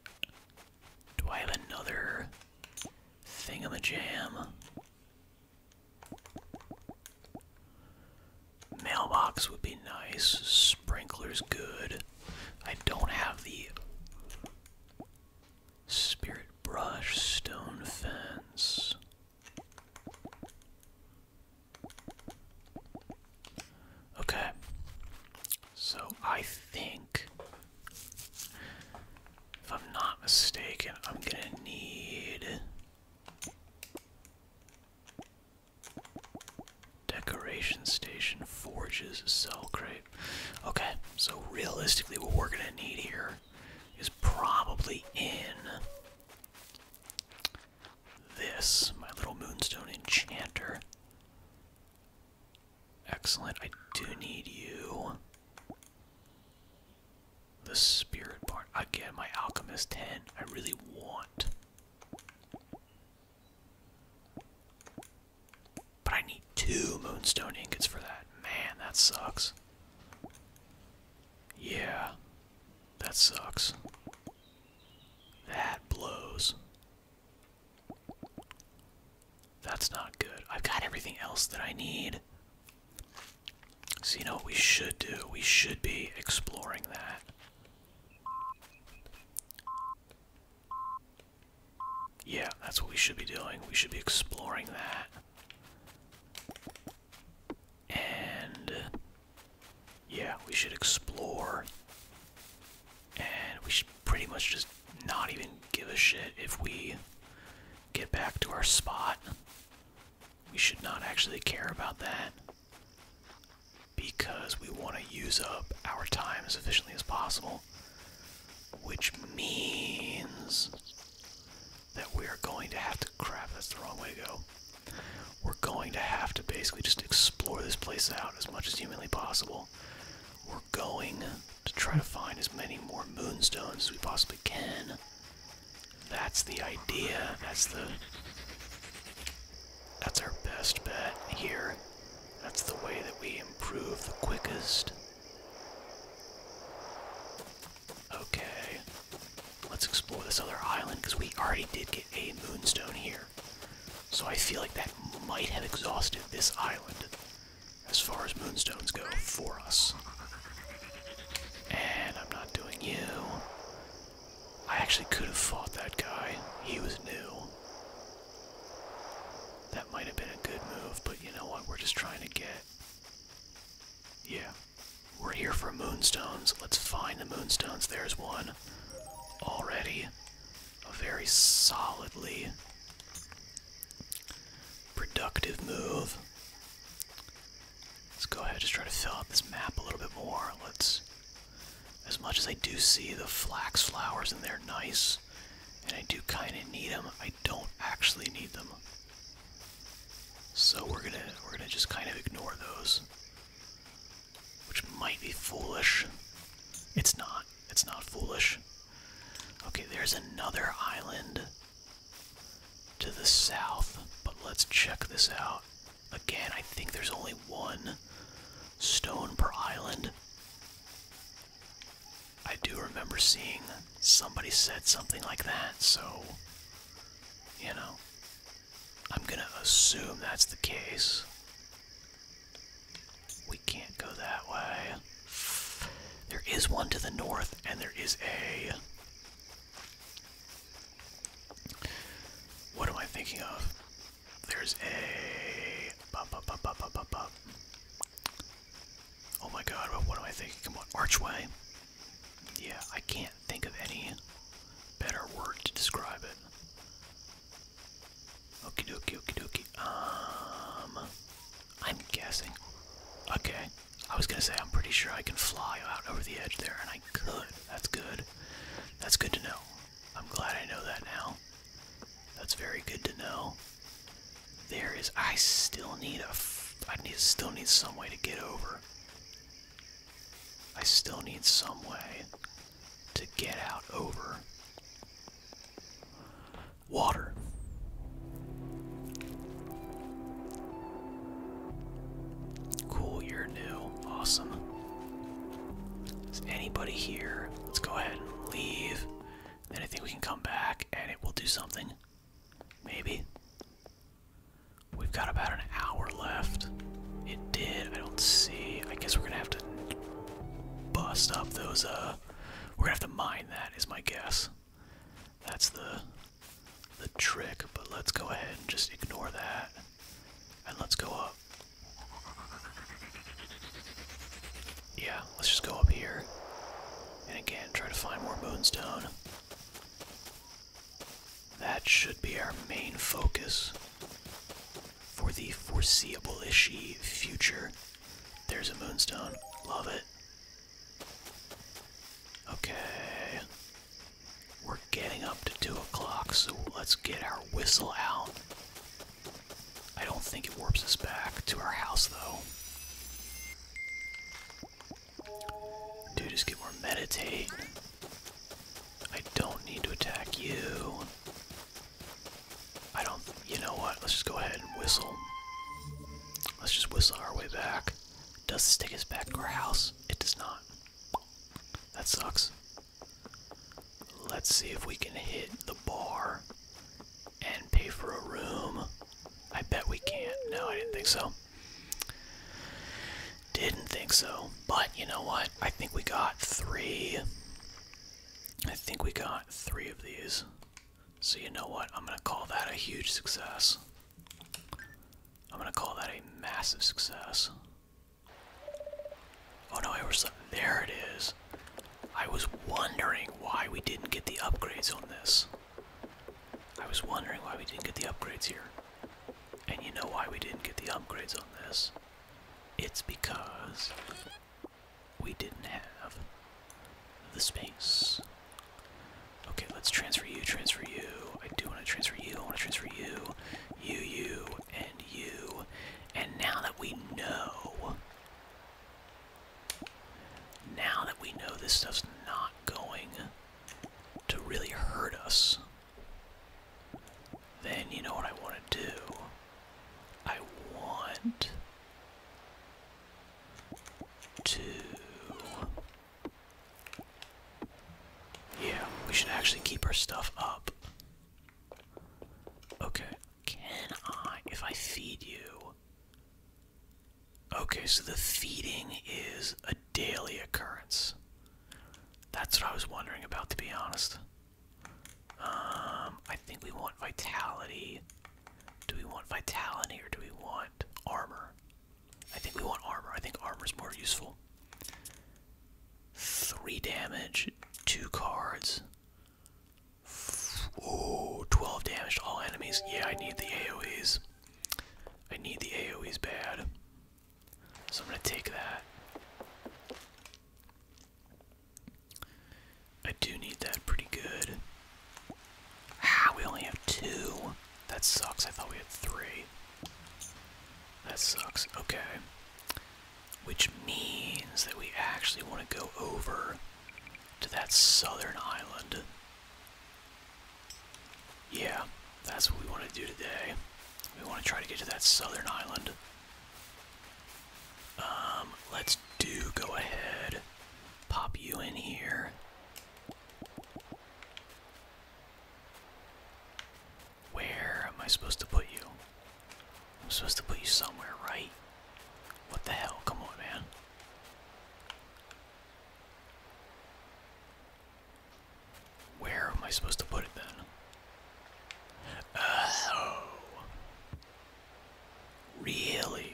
Speaker 1: Do I have another thing on a jam? Mailbox would be nice. Sprinkler's good. I don't have the spirit brush, stone fence. Okay. So I think, if I'm not mistaken, I'm gonna need decoration station, forges, So great. Okay, so realistically, what we're gonna need here is probably in this, my little moonstone enchanter. Excellent. I do need you. The spirit part. Again, my alchemist 10. I really want. But I need two moonstone ingots for that. Man, that sucks. Yeah, that sucks. That blows. That's not good. I've got everything else that I need. So, you know what we should do? We should be exploring that. Yeah, that's what we should be doing. We should be exploring that. And. Yeah, we should explore and we should pretty much just not even give a shit if we get back to our spot. We should not actually care about that because we want to use up our time as efficiently as possible, which means that we're going to have to. Crap, that's the wrong way to go. We're going to have to basically just explore this place out as much as humanly possible we're going to try to find as many more moonstones as we possibly can. That's the idea. That's the that's our best bet here. That's the way that we improve the quickest. Okay. Let's explore this other island because we already did get a moonstone here. So I feel like that might have exhausted this island as far as moonstones go for us. And I'm not doing you. I actually could have fought that guy. He was new. That might have been a good move, but you know what? We're just trying to get. Yeah. We're here for moonstones. Let's find the moonstones. There's one already a very solidly productive move. Let's go ahead and just try to fill out this map a little bit more. Let's, as much as I do see the flax flowers and they're nice, and I do kind of need them, I don't actually need them. So we're gonna we're gonna just kind of ignore those, which might be foolish. It's not. It's not foolish. Okay, there's another island to the south, but let's check this out. Again, I think there's only one stone per island. I do remember seeing somebody said something like that, so, you know, I'm gonna assume that's the case. We can't go that way. There is one to the north, and there is a. What am I thinking of? There's a. Oh my god, what am I thinking? Come on, archway? Yeah, I can't think of any better word to describe it. Okie dokie, okie dokie. Um, I'm guessing. Okay, I was gonna say I'm pretty sure I can fly out over the edge there, and I could. That's good. That's good to know. I'm glad I know that now. That's very good to know. There is. I still need a. I need still need some way to get over. I still need some way to get out over Water. Cool, you're new. Awesome. Is anybody here? Let's go ahead and leave. Then I think we can come back and it will do something. Maybe. We've got about an hour left. It did. I don't see. I guess we're gonna have to bust up those, uh, we're gonna have to mine that is my guess. That's the the trick, but let's go ahead and just ignore that. And let's go up. Yeah, let's just go up here. And again, try to find more moonstone. That should be our main focus for the foreseeable-ishy future. There's a moonstone. Love it. Okay. We're getting up to 2 o'clock, so let's get our whistle out. I don't think it warps us back to our house, though. Dude, just get more meditate. I don't need to attack you. I don't. You know what? Let's just go ahead and whistle. Let's just whistle our way back. Does this take us back to our house? It does not. That sucks. Let's see if we can hit the bar and pay for a room. I bet we can't. No, I didn't think so. Didn't think so. But you know what? I think we got three. I think we got three of these. So, you know what? I'm going to call that a huge success. I'm going to call that a massive success. Oh no, I was. There it is. I was wondering why we didn't get the upgrades on this. I was wondering why we didn't get the upgrades here. And you know why we didn't get the upgrades on this? It's because we didn't have the space. Okay, let's transfer you, transfer you. I do want to transfer you, I want to transfer you, you, you, and you. And now that we know, now that we know this stuff's not going to really hurt us, then you know what I want to do? I want Two. Yeah, we should actually keep our stuff up. Okay, can I, if I feed you? Okay, so the feeding is a daily occurrence. That's what I was wondering about, to be honest. Um, I think we want vitality. Do we want vitality or do we want armor? I think we want armor. I think armor is more useful. Three damage, two cards. Oh, 12 damage to all enemies. Yeah, I need the AoEs. I need the AoEs bad. So I'm going to take that. I do need that pretty good. Ah, we only have two. That sucks. I thought we had three. That sucks. Okay. Which means that we actually want to go over to that southern island. Yeah, that's what we want to do today. We want to try to get to that southern island. Um, let's do go ahead, pop you in here. Where am I supposed to put you? I'm supposed to put you somewhere, right? What the hell? Come on, man. Where am I supposed to put it then? Uh, oh. Really?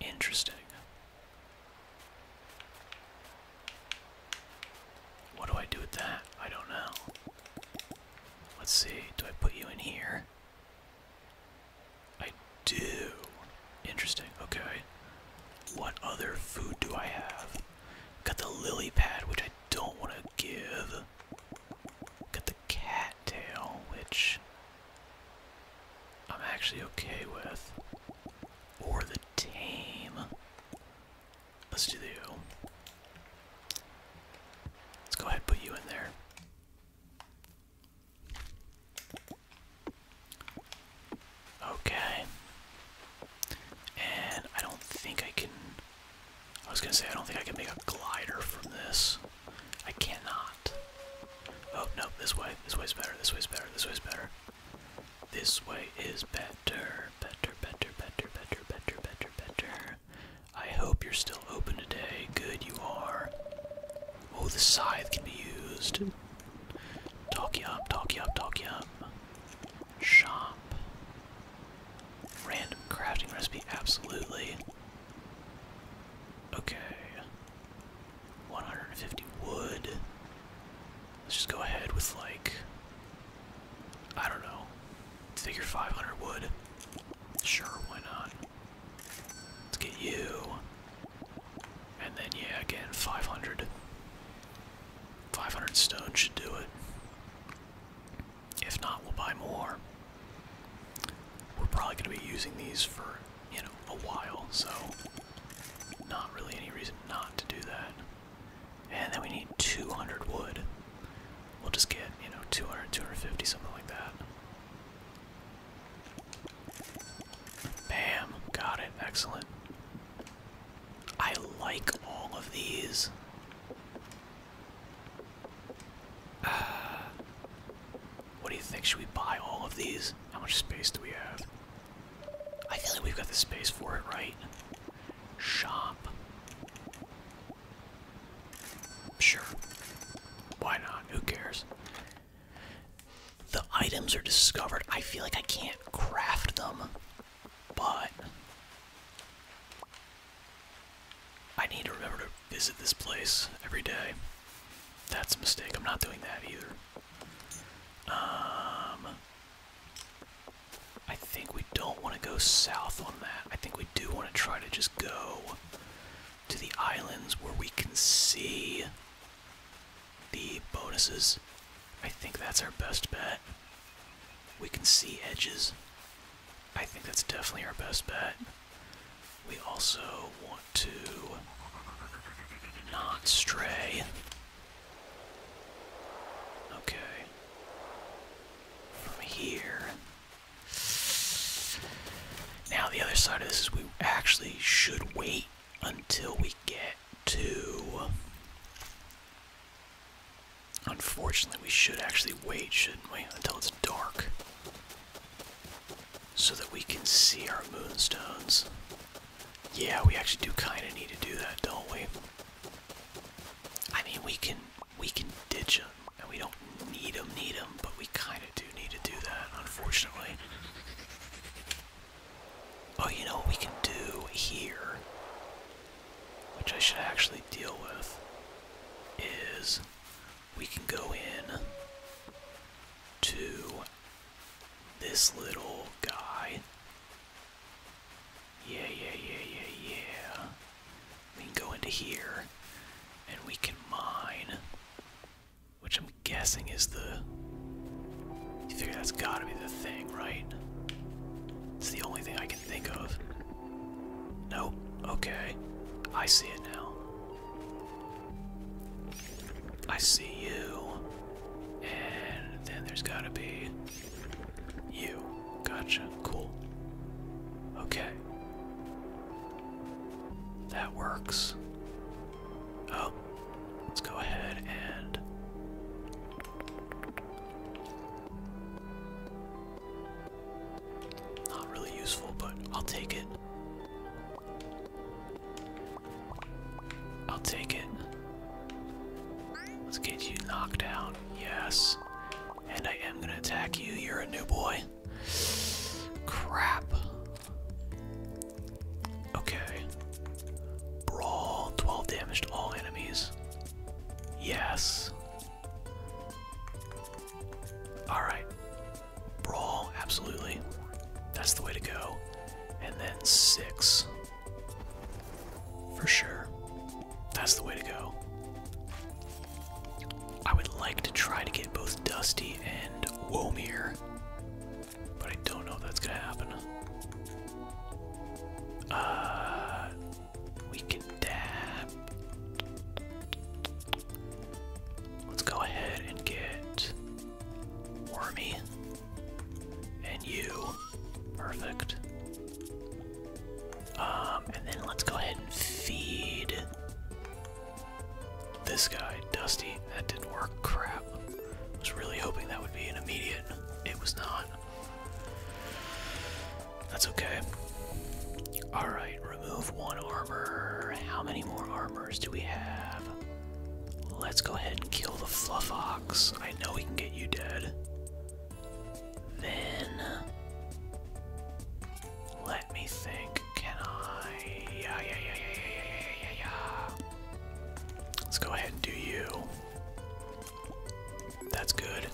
Speaker 1: Interesting. What do I do with that? I don't know. Let's see. Do I put you in here? I do. Interesting. Okay. What other food do I have? Got the lily pad, which I don't want to give. Got the cattail, which I'm actually okay with. Or the tame. Let's do the eagle. Let's go ahead and put you in there. Okay. And I don't think I can I was gonna say, I don't think I can make a glider from this. I cannot. Oh, no, this way. This way's better. This way's better. This way's better. This way is better. Better, better, better, better, better, better, better. I hope you're still open today. Good, you are. Oh, the scythe can be used. Talk up, talk up, talk up. Shop. Random crafting recipe,
Speaker 2: absolutely. Okay. 150 wood. Let's just go ahead with like I don't know. Figure 500 wood. Sure, why not? Let's get you. And then yeah, again 500. 500 stone should do it. If not, we'll
Speaker 1: buy more. We're probably going to be using these for, you know, a while, so not really any reason not to do that. And then we need 200 wood. We'll just get, you know, 200, 250, something like that. Bam, got it, excellent. I like all of these. what
Speaker 2: do you think? Should we buy all of these? How much space do we have?
Speaker 1: I feel like we've got the space for it, right? Shop. Sure. Why not? Who cares? The items are discovered. I feel like I can't craft them, but I need to remember to visit this place every day. That's a mistake. I'm not doing that either. Um, I think we don't want to go south on that. I think we do want to try to just go to the islands where we can see the bonuses. I think that's our best bet. We can see edges. I think that's definitely our best bet. We also want to not stray. Okay. From here. Now, the other side of this is we actually should wait until we get to Unfortunately, we should actually wait, shouldn't we, until it's dark. So that we can see our moonstones. Yeah, we actually do kind of need to do that, don't we? I mean, we can we can ditch and we don't need them, but we kind of do need to do that, unfortunately. Oh, you know what we can do here which I should actually deal with, is we can go in to this little guy. Yeah, yeah, yeah, yeah, yeah. We can go into here and we can mine, which I'm guessing is the. You figure that's gotta be the thing, right? It's the only thing I can think of. Nope. Okay. I see it now. I see you. And then there's gotta be you. Gotcha. Cool. Okay. That works. Oh. Let's go ahead and. Not really useful, but I'll take it. I'll take it. Let's get you knocked down. Yes. And I am gonna attack you. You're a new boy. Crap. Okay. Brawl. 12 damage to all enemies. Yes. Alright. Brawl, absolutely. That's the way to go. And then six. For sure. That's the way to go. I would like to try to get both Dusty and Womier, But I don't know if that's gonna happen. Uh we can dab. Let's go ahead and get Wormy. And you. Perfect. Um, and then let's go ahead and feed this guy, Dusty. That didn't work. Crap. was really hoping that would be an immediate. It was not. That's okay. Alright, remove one armor. How many more armors do we have? Let's go ahead and kill the fluff I know we can get you dead. Then let me think. Can I? yeah, yeah, yeah, yeah, yeah, yeah, yeah. Let's go ahead and do you. That's good.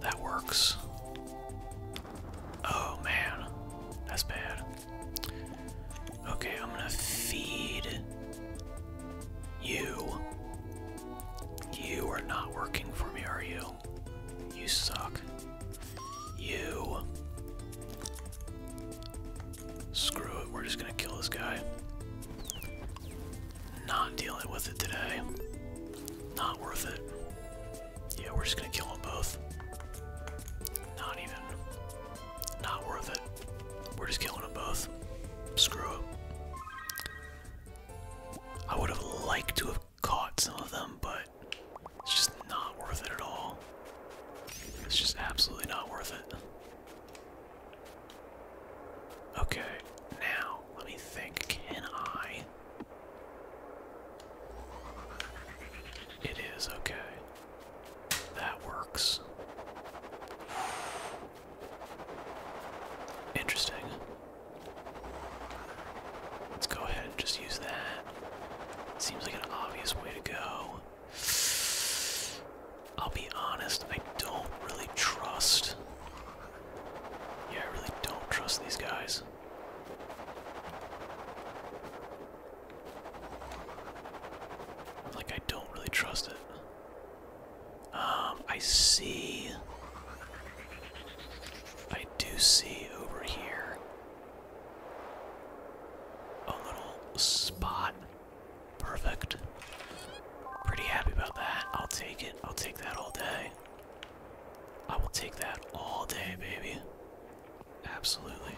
Speaker 1: That works. Oh man, that's bad. Okay, I'm gonna feed you. You are not working for me, are you? You suck. You. Screw it, we're just gonna kill this guy. Not dealing with it today. Not worth it. Yeah, we're just gonna kill them both. Not even. Not worth it. We're just killing them both. Screw up. I would have liked to have caught some of them, but it's just not worth it at all. It's just absolutely not worth it. Okay, now, let me think. Can I it is okay. That works. Interesting. Let's go ahead and just use that. Seems like an obvious way to go. I'll be honest, I don't really trust. Yeah, I really don't trust these guys. Like I don't really trust it. Um, I see. I do see over here a little spot. Perfect. Pretty happy about that. I'll take it. I'll take that all day. I will take that all day, baby. Absolutely.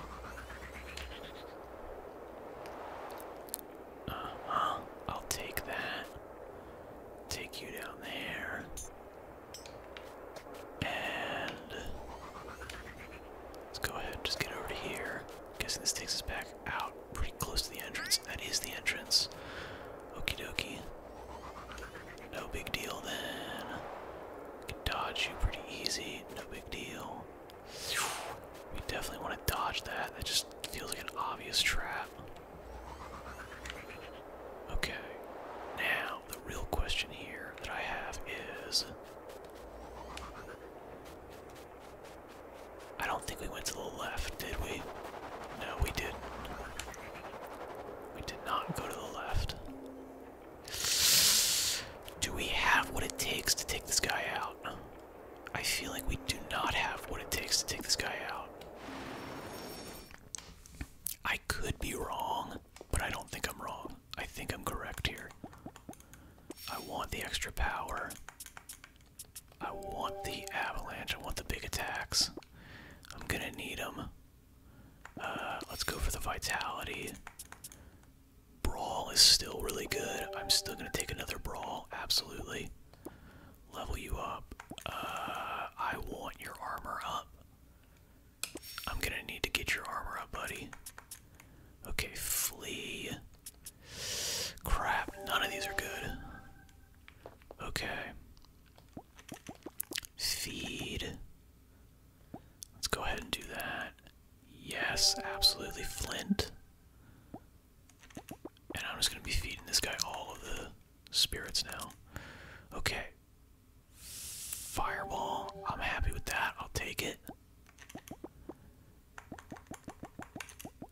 Speaker 1: Uh-huh. I'll take that. Take you down there. And let's go ahead just get over to here. guessing this takes us back out pretty close to the entrance. That is the entrance. Okie dokie. No big deal then.
Speaker 2: Can dodge you pretty easy. No big deal. We definitely want to
Speaker 1: dodge that. That just feels like an obvious trap. Okay. Now the real question here that I have is I don't think we went to the left, did we? No, we didn't. We did not go to the left. Do we have what it takes to take this guy out? I feel like we do not have what it takes to take this guy out. I could be wrong, but I don't
Speaker 2: think I'm wrong. I think I'm correct here. I want the extra power.
Speaker 1: I want the avalanche. I want the big attacks. I'm gonna need them. Uh, let's go for the vitality. Brawl is still really good. I'm still gonna take another brawl, absolutely. Level you up. Uh, I want your armor up. I'm gonna need to get your armor up, buddy. Okay, flee. Crap, none of these are good. Okay. Feed. Let's go ahead and do that. Yes, absolutely. Flint. And I'm just going to be feeding this guy all of the spirits now. Okay. Fireball. I'm happy with that. I'll take it.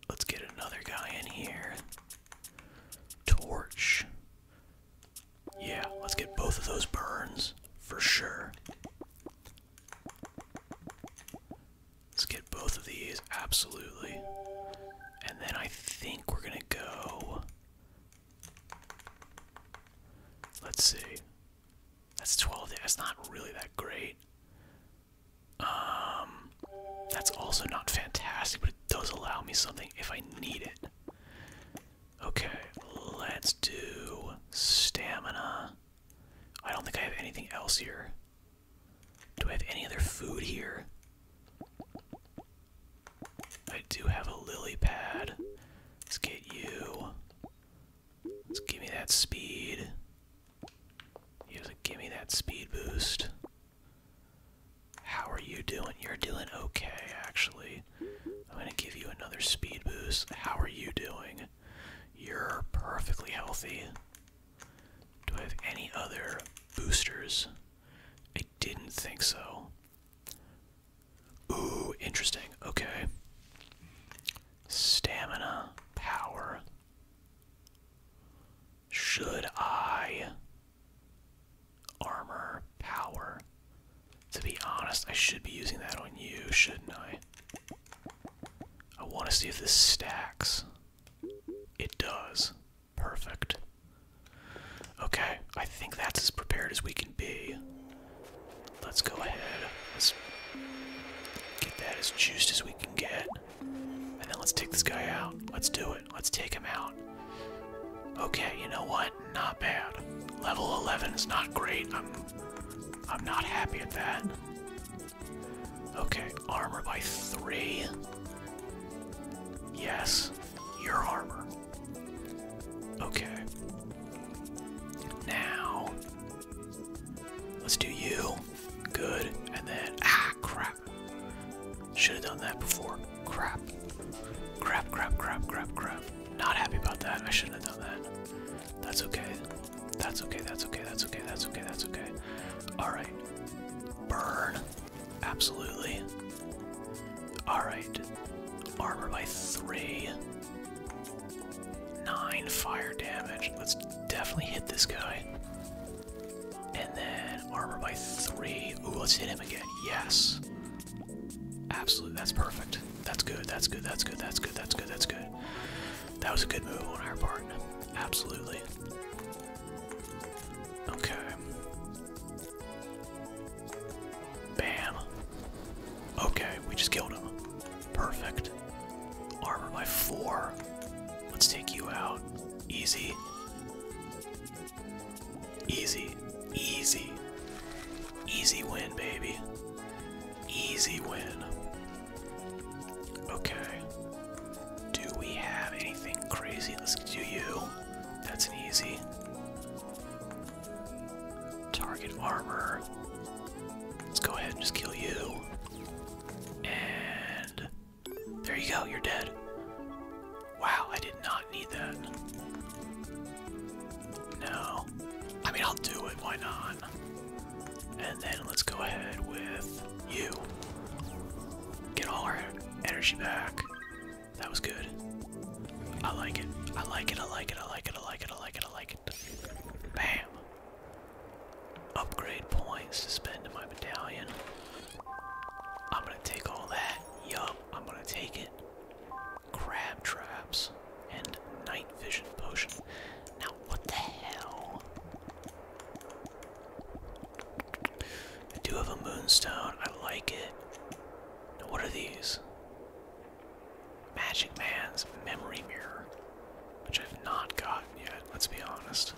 Speaker 1: Let's get another guy in here.
Speaker 2: Torch. Yeah, let's get both of those burns for sure.
Speaker 1: Let's get both of these, absolutely. And then I think we're gonna go. Let's see. That's 12. That's not really that great. Um, that's also not fantastic, but it does allow me something if I need it. Okay, let's do stamina. I don't think I have anything else here. Do I have any other food here? I do have a lily pad. Let's get you. Let's give me that speed. give me that speed boost. How are you doing? You're doing okay, actually. I'm gonna give you another speed boost. How are you doing? You're perfectly healthy. Do I have any other boosters? I didn't think so. Ooh, interesting. Okay. Stamina, power. Should I armor, power. To be honest, I should be using that on you, shouldn't I? I want to see if this stacks. It does. Perfect. Okay, I think that's as prepared as we can be. Let's go ahead. Let's get that as juiced as we can get. And then let's take this guy out. Let's do it. Let's take him out. Okay, you know what? Not bad. Level 11 is not great. I'm I'm not happy at that. Okay, armor by 3. Yes, your armor. Okay. Now Let's do you. Good. And then ah crap. Should have done that before. Crap. Crap, crap, crap, crap, crap. Not happy about that. I shouldn't have done that. That's okay. That's okay, that's okay, that's okay, that's okay, that's okay. Alright. Burn. Absolutely. Alright. Armor by three. Nine fire damage. Let's definitely hit this guy. And then armor by three. Ooh, let's hit him again. Yes. Absolutely, that's perfect. That's good, that's good, that's good, that's good, that's good, that's good. That was a good move on our part. Absolutely. Okay. Bam. Okay, we just killed him. Perfect. Armor by four. Let's take you out. Easy. Easy, easy, easy win, baby. Easy win. Okay. Do we have anything crazy? Let's do you. That's an easy. Target armor. Let's go ahead and just kill you. And there you go, you're dead. Wow, I did not need that. No. I mean, I'll do it, why not? And then let's go ahead with you. Get all our energy back. That was good. I like it. I like it, I like it, I like it, I like it, I like it, Bam. Upgrade points to spend in my medallion. I'm gonna take all that. Yup, I'm gonna take it crab traps, and night vision potion. Now, what the hell? I do have a moonstone. I like it. what are these? Magic Man's memory mirror, which I've not gotten yet, let's be honest.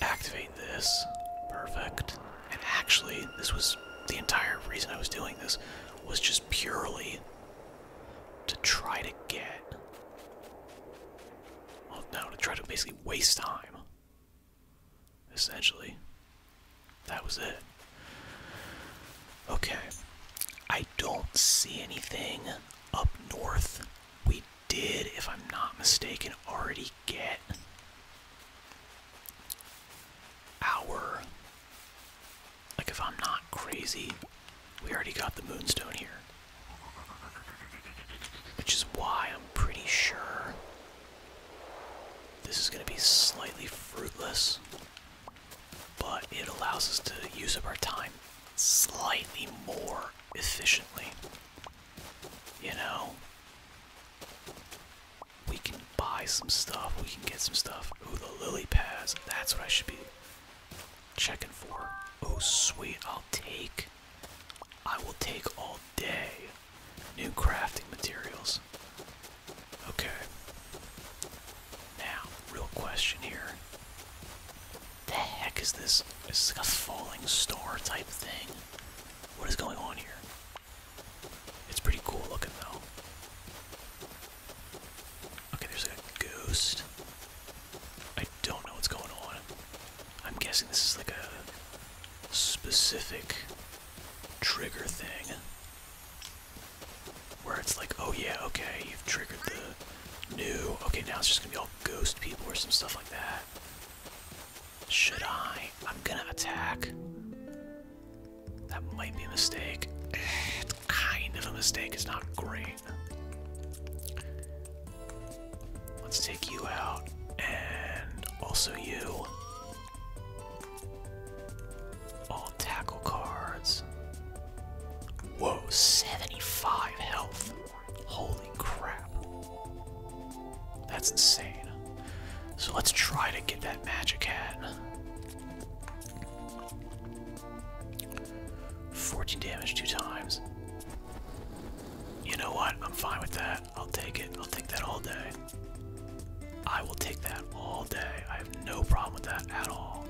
Speaker 1: Activate this. Perfect. And actually, this was the entire reason I was doing this was just purely to try to get. Well, no, to try to basically waste time. Essentially. That was it. Okay. I don't see anything up north. We did, if I'm not mistaken, already get our like if I'm not crazy, we already got the moonstone here. Which is why I'm pretty sure this is going to be slightly fruitless, but it allows us to use up our time slightly more efficiently. You know? we can buy some stuff, we can get some stuff. Oh, the lily pads, that's what I should be checking for. Oh, sweet, I'll take, I will take all day new crafting materials. Okay. Now, real question here. The heck is this? This Is like a falling star type thing? What is going on here? It's pretty cool looking though. Okay, there's a ghost. I don't know what's going on. I'm guessing this is like a specific trigger thing. Where it's like, oh
Speaker 2: yeah, okay, you've triggered the new. Okay, now it's just gonna be all ghost people or some stuff like
Speaker 1: that. Should I? I'm gonna attack. That might be a mistake. It's kind of a mistake. It's not great. Let's take you out and also you. All tackle cards. Whoa, 75 health. Holy crap. That's insane. So let's try to get that magic hat. 14 damage two times. You know what? I'm fine with that. I'll take it. I'll take that all day. I will take that all day. I have no problem with that at all.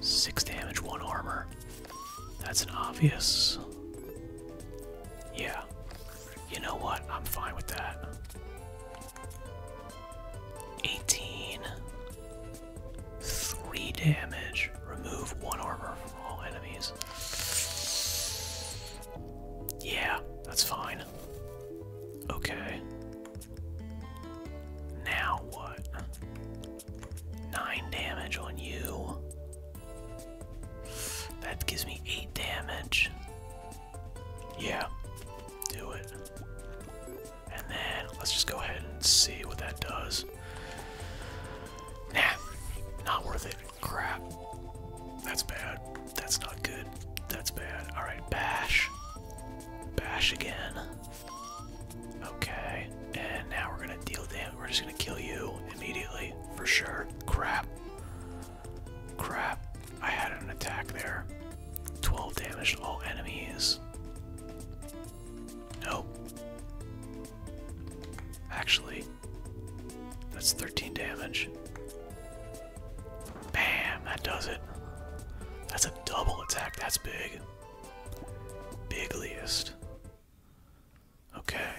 Speaker 1: Six damage, one armor. That's an obvious. Yeah. You know what? I'm fine with that. 18. 3 damage. Remove 1 armor from all enemies. Yeah, that's fine. Okay. Now what? 9 damage on you. That gives me 8 damage. Yeah, do it. And then let's just go ahead and see what that does. Nah, not worth it. Crap. That's bad. That's not good. That's bad. Alright, bash. Bash again. Okay, and now we're gonna deal with damage. We're just gonna kill you immediately, for sure. Crap. Crap, I had an attack there. 12 damage all enemies. Nope. Actually, that's 13 damage. Bam, that does it. That's a double attack, that's big. Bigliest. Okay.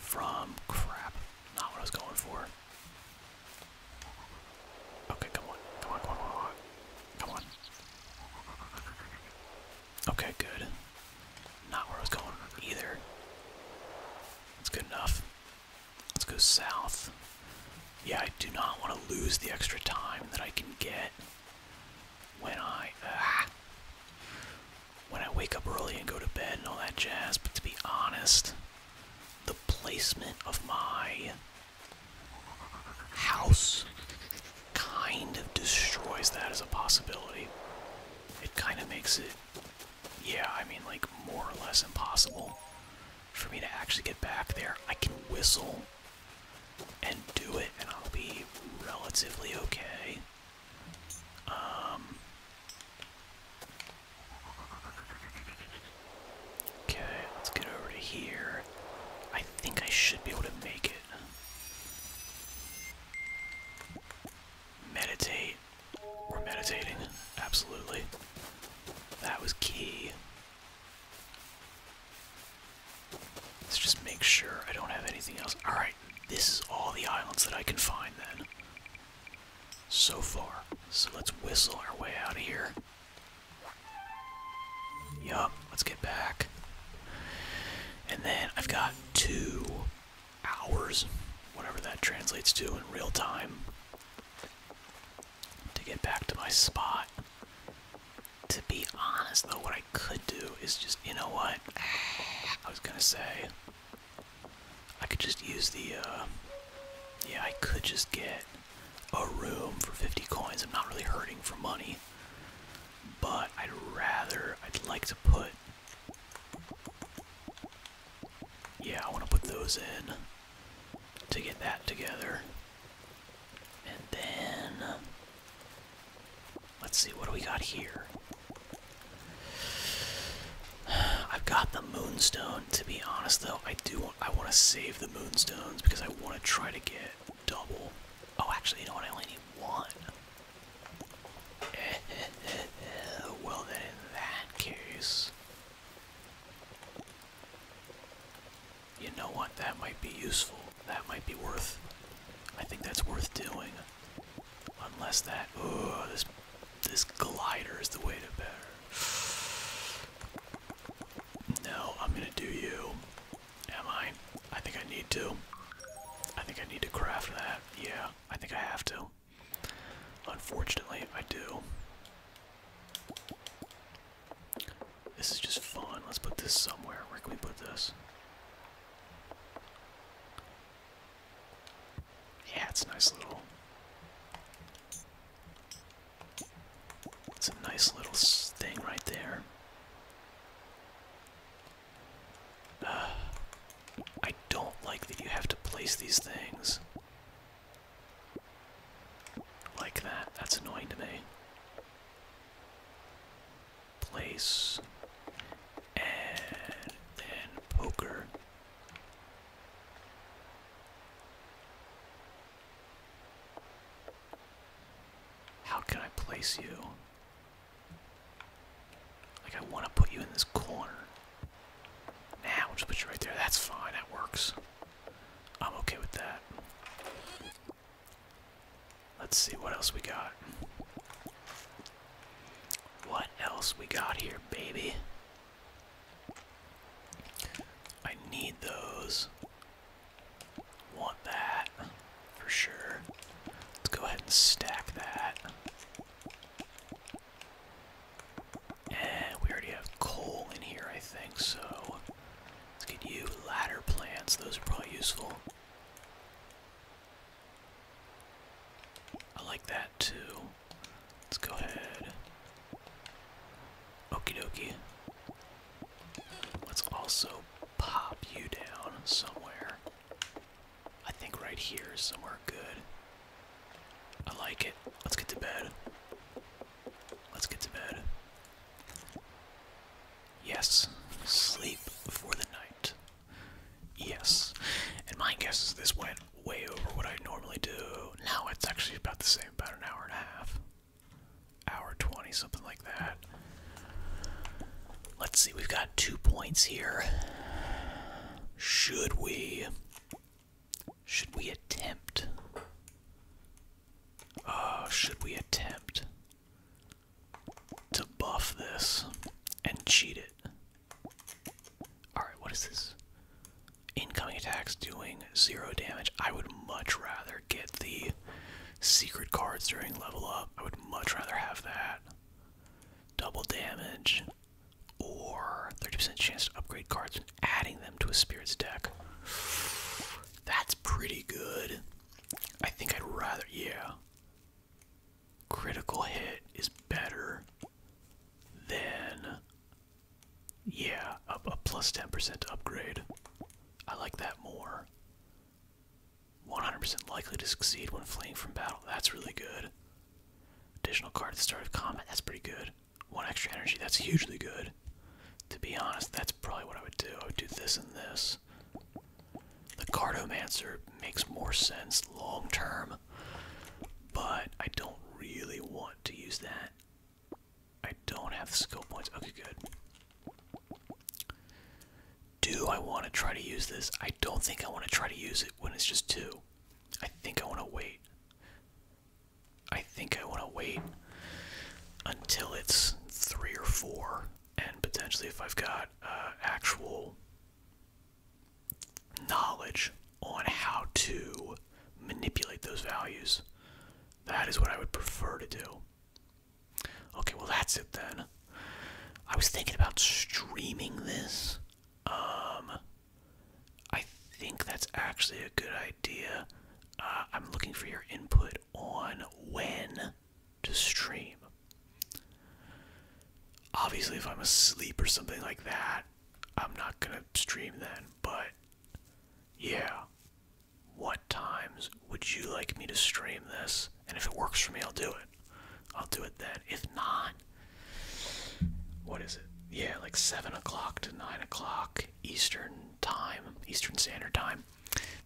Speaker 1: from crap. Not what I was going for. Okay, come on. Come on, come on, come on. Come on. Okay, good.
Speaker 2: Not where I was going either. That's good enough. Let's go south. Yeah, I do not want to lose the extra
Speaker 1: time that I can get when I. Ah, when I wake up early and go to bed and all that jazz, but to be honest, the placement of my house kind of destroys that as a possibility. It kind of makes it, yeah, I mean, like more or less impossible for me to actually get back there. I can whistle and do it, and I'll be relatively okay. Um, okay, let's get over here. I think I should be able to make it. Meditate. We're meditating, absolutely. That was key. Let's just make sure I don't have anything else. Alright this is all the islands that I can find then. So far. So let's whistle our way out of here. Yup, let's get back. And then I've got two hours, whatever that translates to in real time, to get back to my spot. To be honest, though, what I could do is just, you know what? I was gonna say, I could just use the, uh, yeah,
Speaker 2: I could just get a room for 50 coins. I'm not really hurting for money, but I'd rather, I'd
Speaker 1: like to put, yeah, I want to put those in to get that together. And then Let's see, what do we got here? I've got the moonstone. To be honest, though, I do want, I want to save the moonstones because I want to try to get double. Oh, actually, you know what? I only need one. well, then, in that case, you know what? That might be useful. That might be worth. I think that's worth doing. Unless that, oh, this this glider is the way to better. No, I'm gonna do you. Am I? I think I need to. I think I need to craft that. Yeah, I think I have to. Unfortunately, I do. This is just fun. Let's put this somewhere. Where can we put this? Yeah, it's a nice little. It's a nice little thing right there. Uh, I don't like that you have to place these things like that. That's annoying to me. Place and then poker. How can I place you? Like, I want to put you in this corner. Now, nah, will just put you right there. That's fine, that works.
Speaker 2: I'm okay with that. Let's see what else
Speaker 1: we got. What else we got here, baby? I need those. Want that for sure. Let's go ahead and stack that. And we already have coal in here, I think, so let's get you ladder plants. Those are probably useful. I like that too. Let's go ahead. Okie dokie. Let's also pop you down somewhere. I think right here is somewhere good. I like it. Let's get to bed. Let's get to bed. Yes, sleep for the night. Yes. And my guess is this went way over what I normally do. Now it's actually about the same, about an hour and a half. Hour 20, something like that. Let's see, we've got two points here. Should we. Should we attempt? Uh, should we attempt to buff this and cheat it? Alright, what is this? Incoming attacks doing zero damage. I would much rather get the secret cards during level up. I would much rather have that. Double damage or 30% chance to upgrade cards adding them to a spirit's deck. That's pretty good. I think I'd rather, yeah critical hit is better than yeah a, a plus 10% upgrade i like that more 100% likely to succeed when fleeing from battle that's really good additional card at the start of combat that's pretty good one extra energy that's hugely good to be honest that's probably what i would do i would do this and this the cardomancer makes more sense long term but I don't really want to use that. I don't have skill points. Okay, good. Do I want to try to use this? I don't think I want to try to use it when it's just two. I think I want to wait. I think I want to wait until it's three or four, and potentially if I've got uh, actual knowledge on how to manipulate those values. That is what I would
Speaker 2: prefer to do. Okay, well, that's it then. I was thinking about streaming this. Um, I think that's actually a good idea. Uh, I'm looking for your input on when to stream. Obviously, if I'm asleep
Speaker 1: or something like that, I'm not gonna stream then, but yeah.
Speaker 2: What times would you like me to stream this? And if it works for me, I'll
Speaker 1: do it. I'll do it then. If not, what is it? Yeah, like 7 o'clock to 9 o'clock Eastern Time, Eastern Standard Time.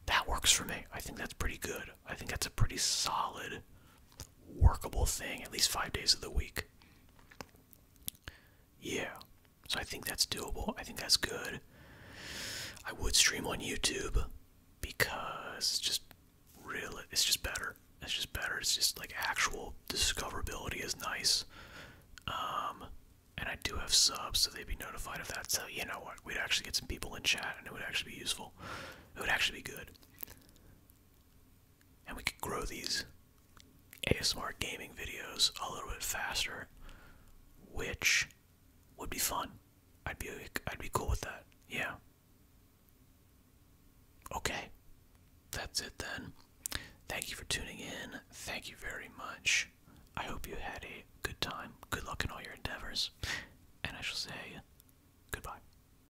Speaker 1: That works for me. I think that's pretty good. I think that's a pretty solid workable thing at least five days of the week. Yeah, so I think that's doable. I think that's good. I would stream on YouTube because it's just really, it's just better. It's just better. It's just like actual discoverability is nice. Um, and I do have subs, so they'd be notified of that. So you know what? We'd actually get some people in chat, and it would actually be useful. It would actually be good and we could grow these ASMR gaming videos a little bit faster, which would be fun. I'd be I'd be cool with that. Yeah. Okay. That's it then. Thank you for tuning in. Thank you very much. I
Speaker 2: hope you had a good time. Good luck in all your endeavors. And I shall say goodbye.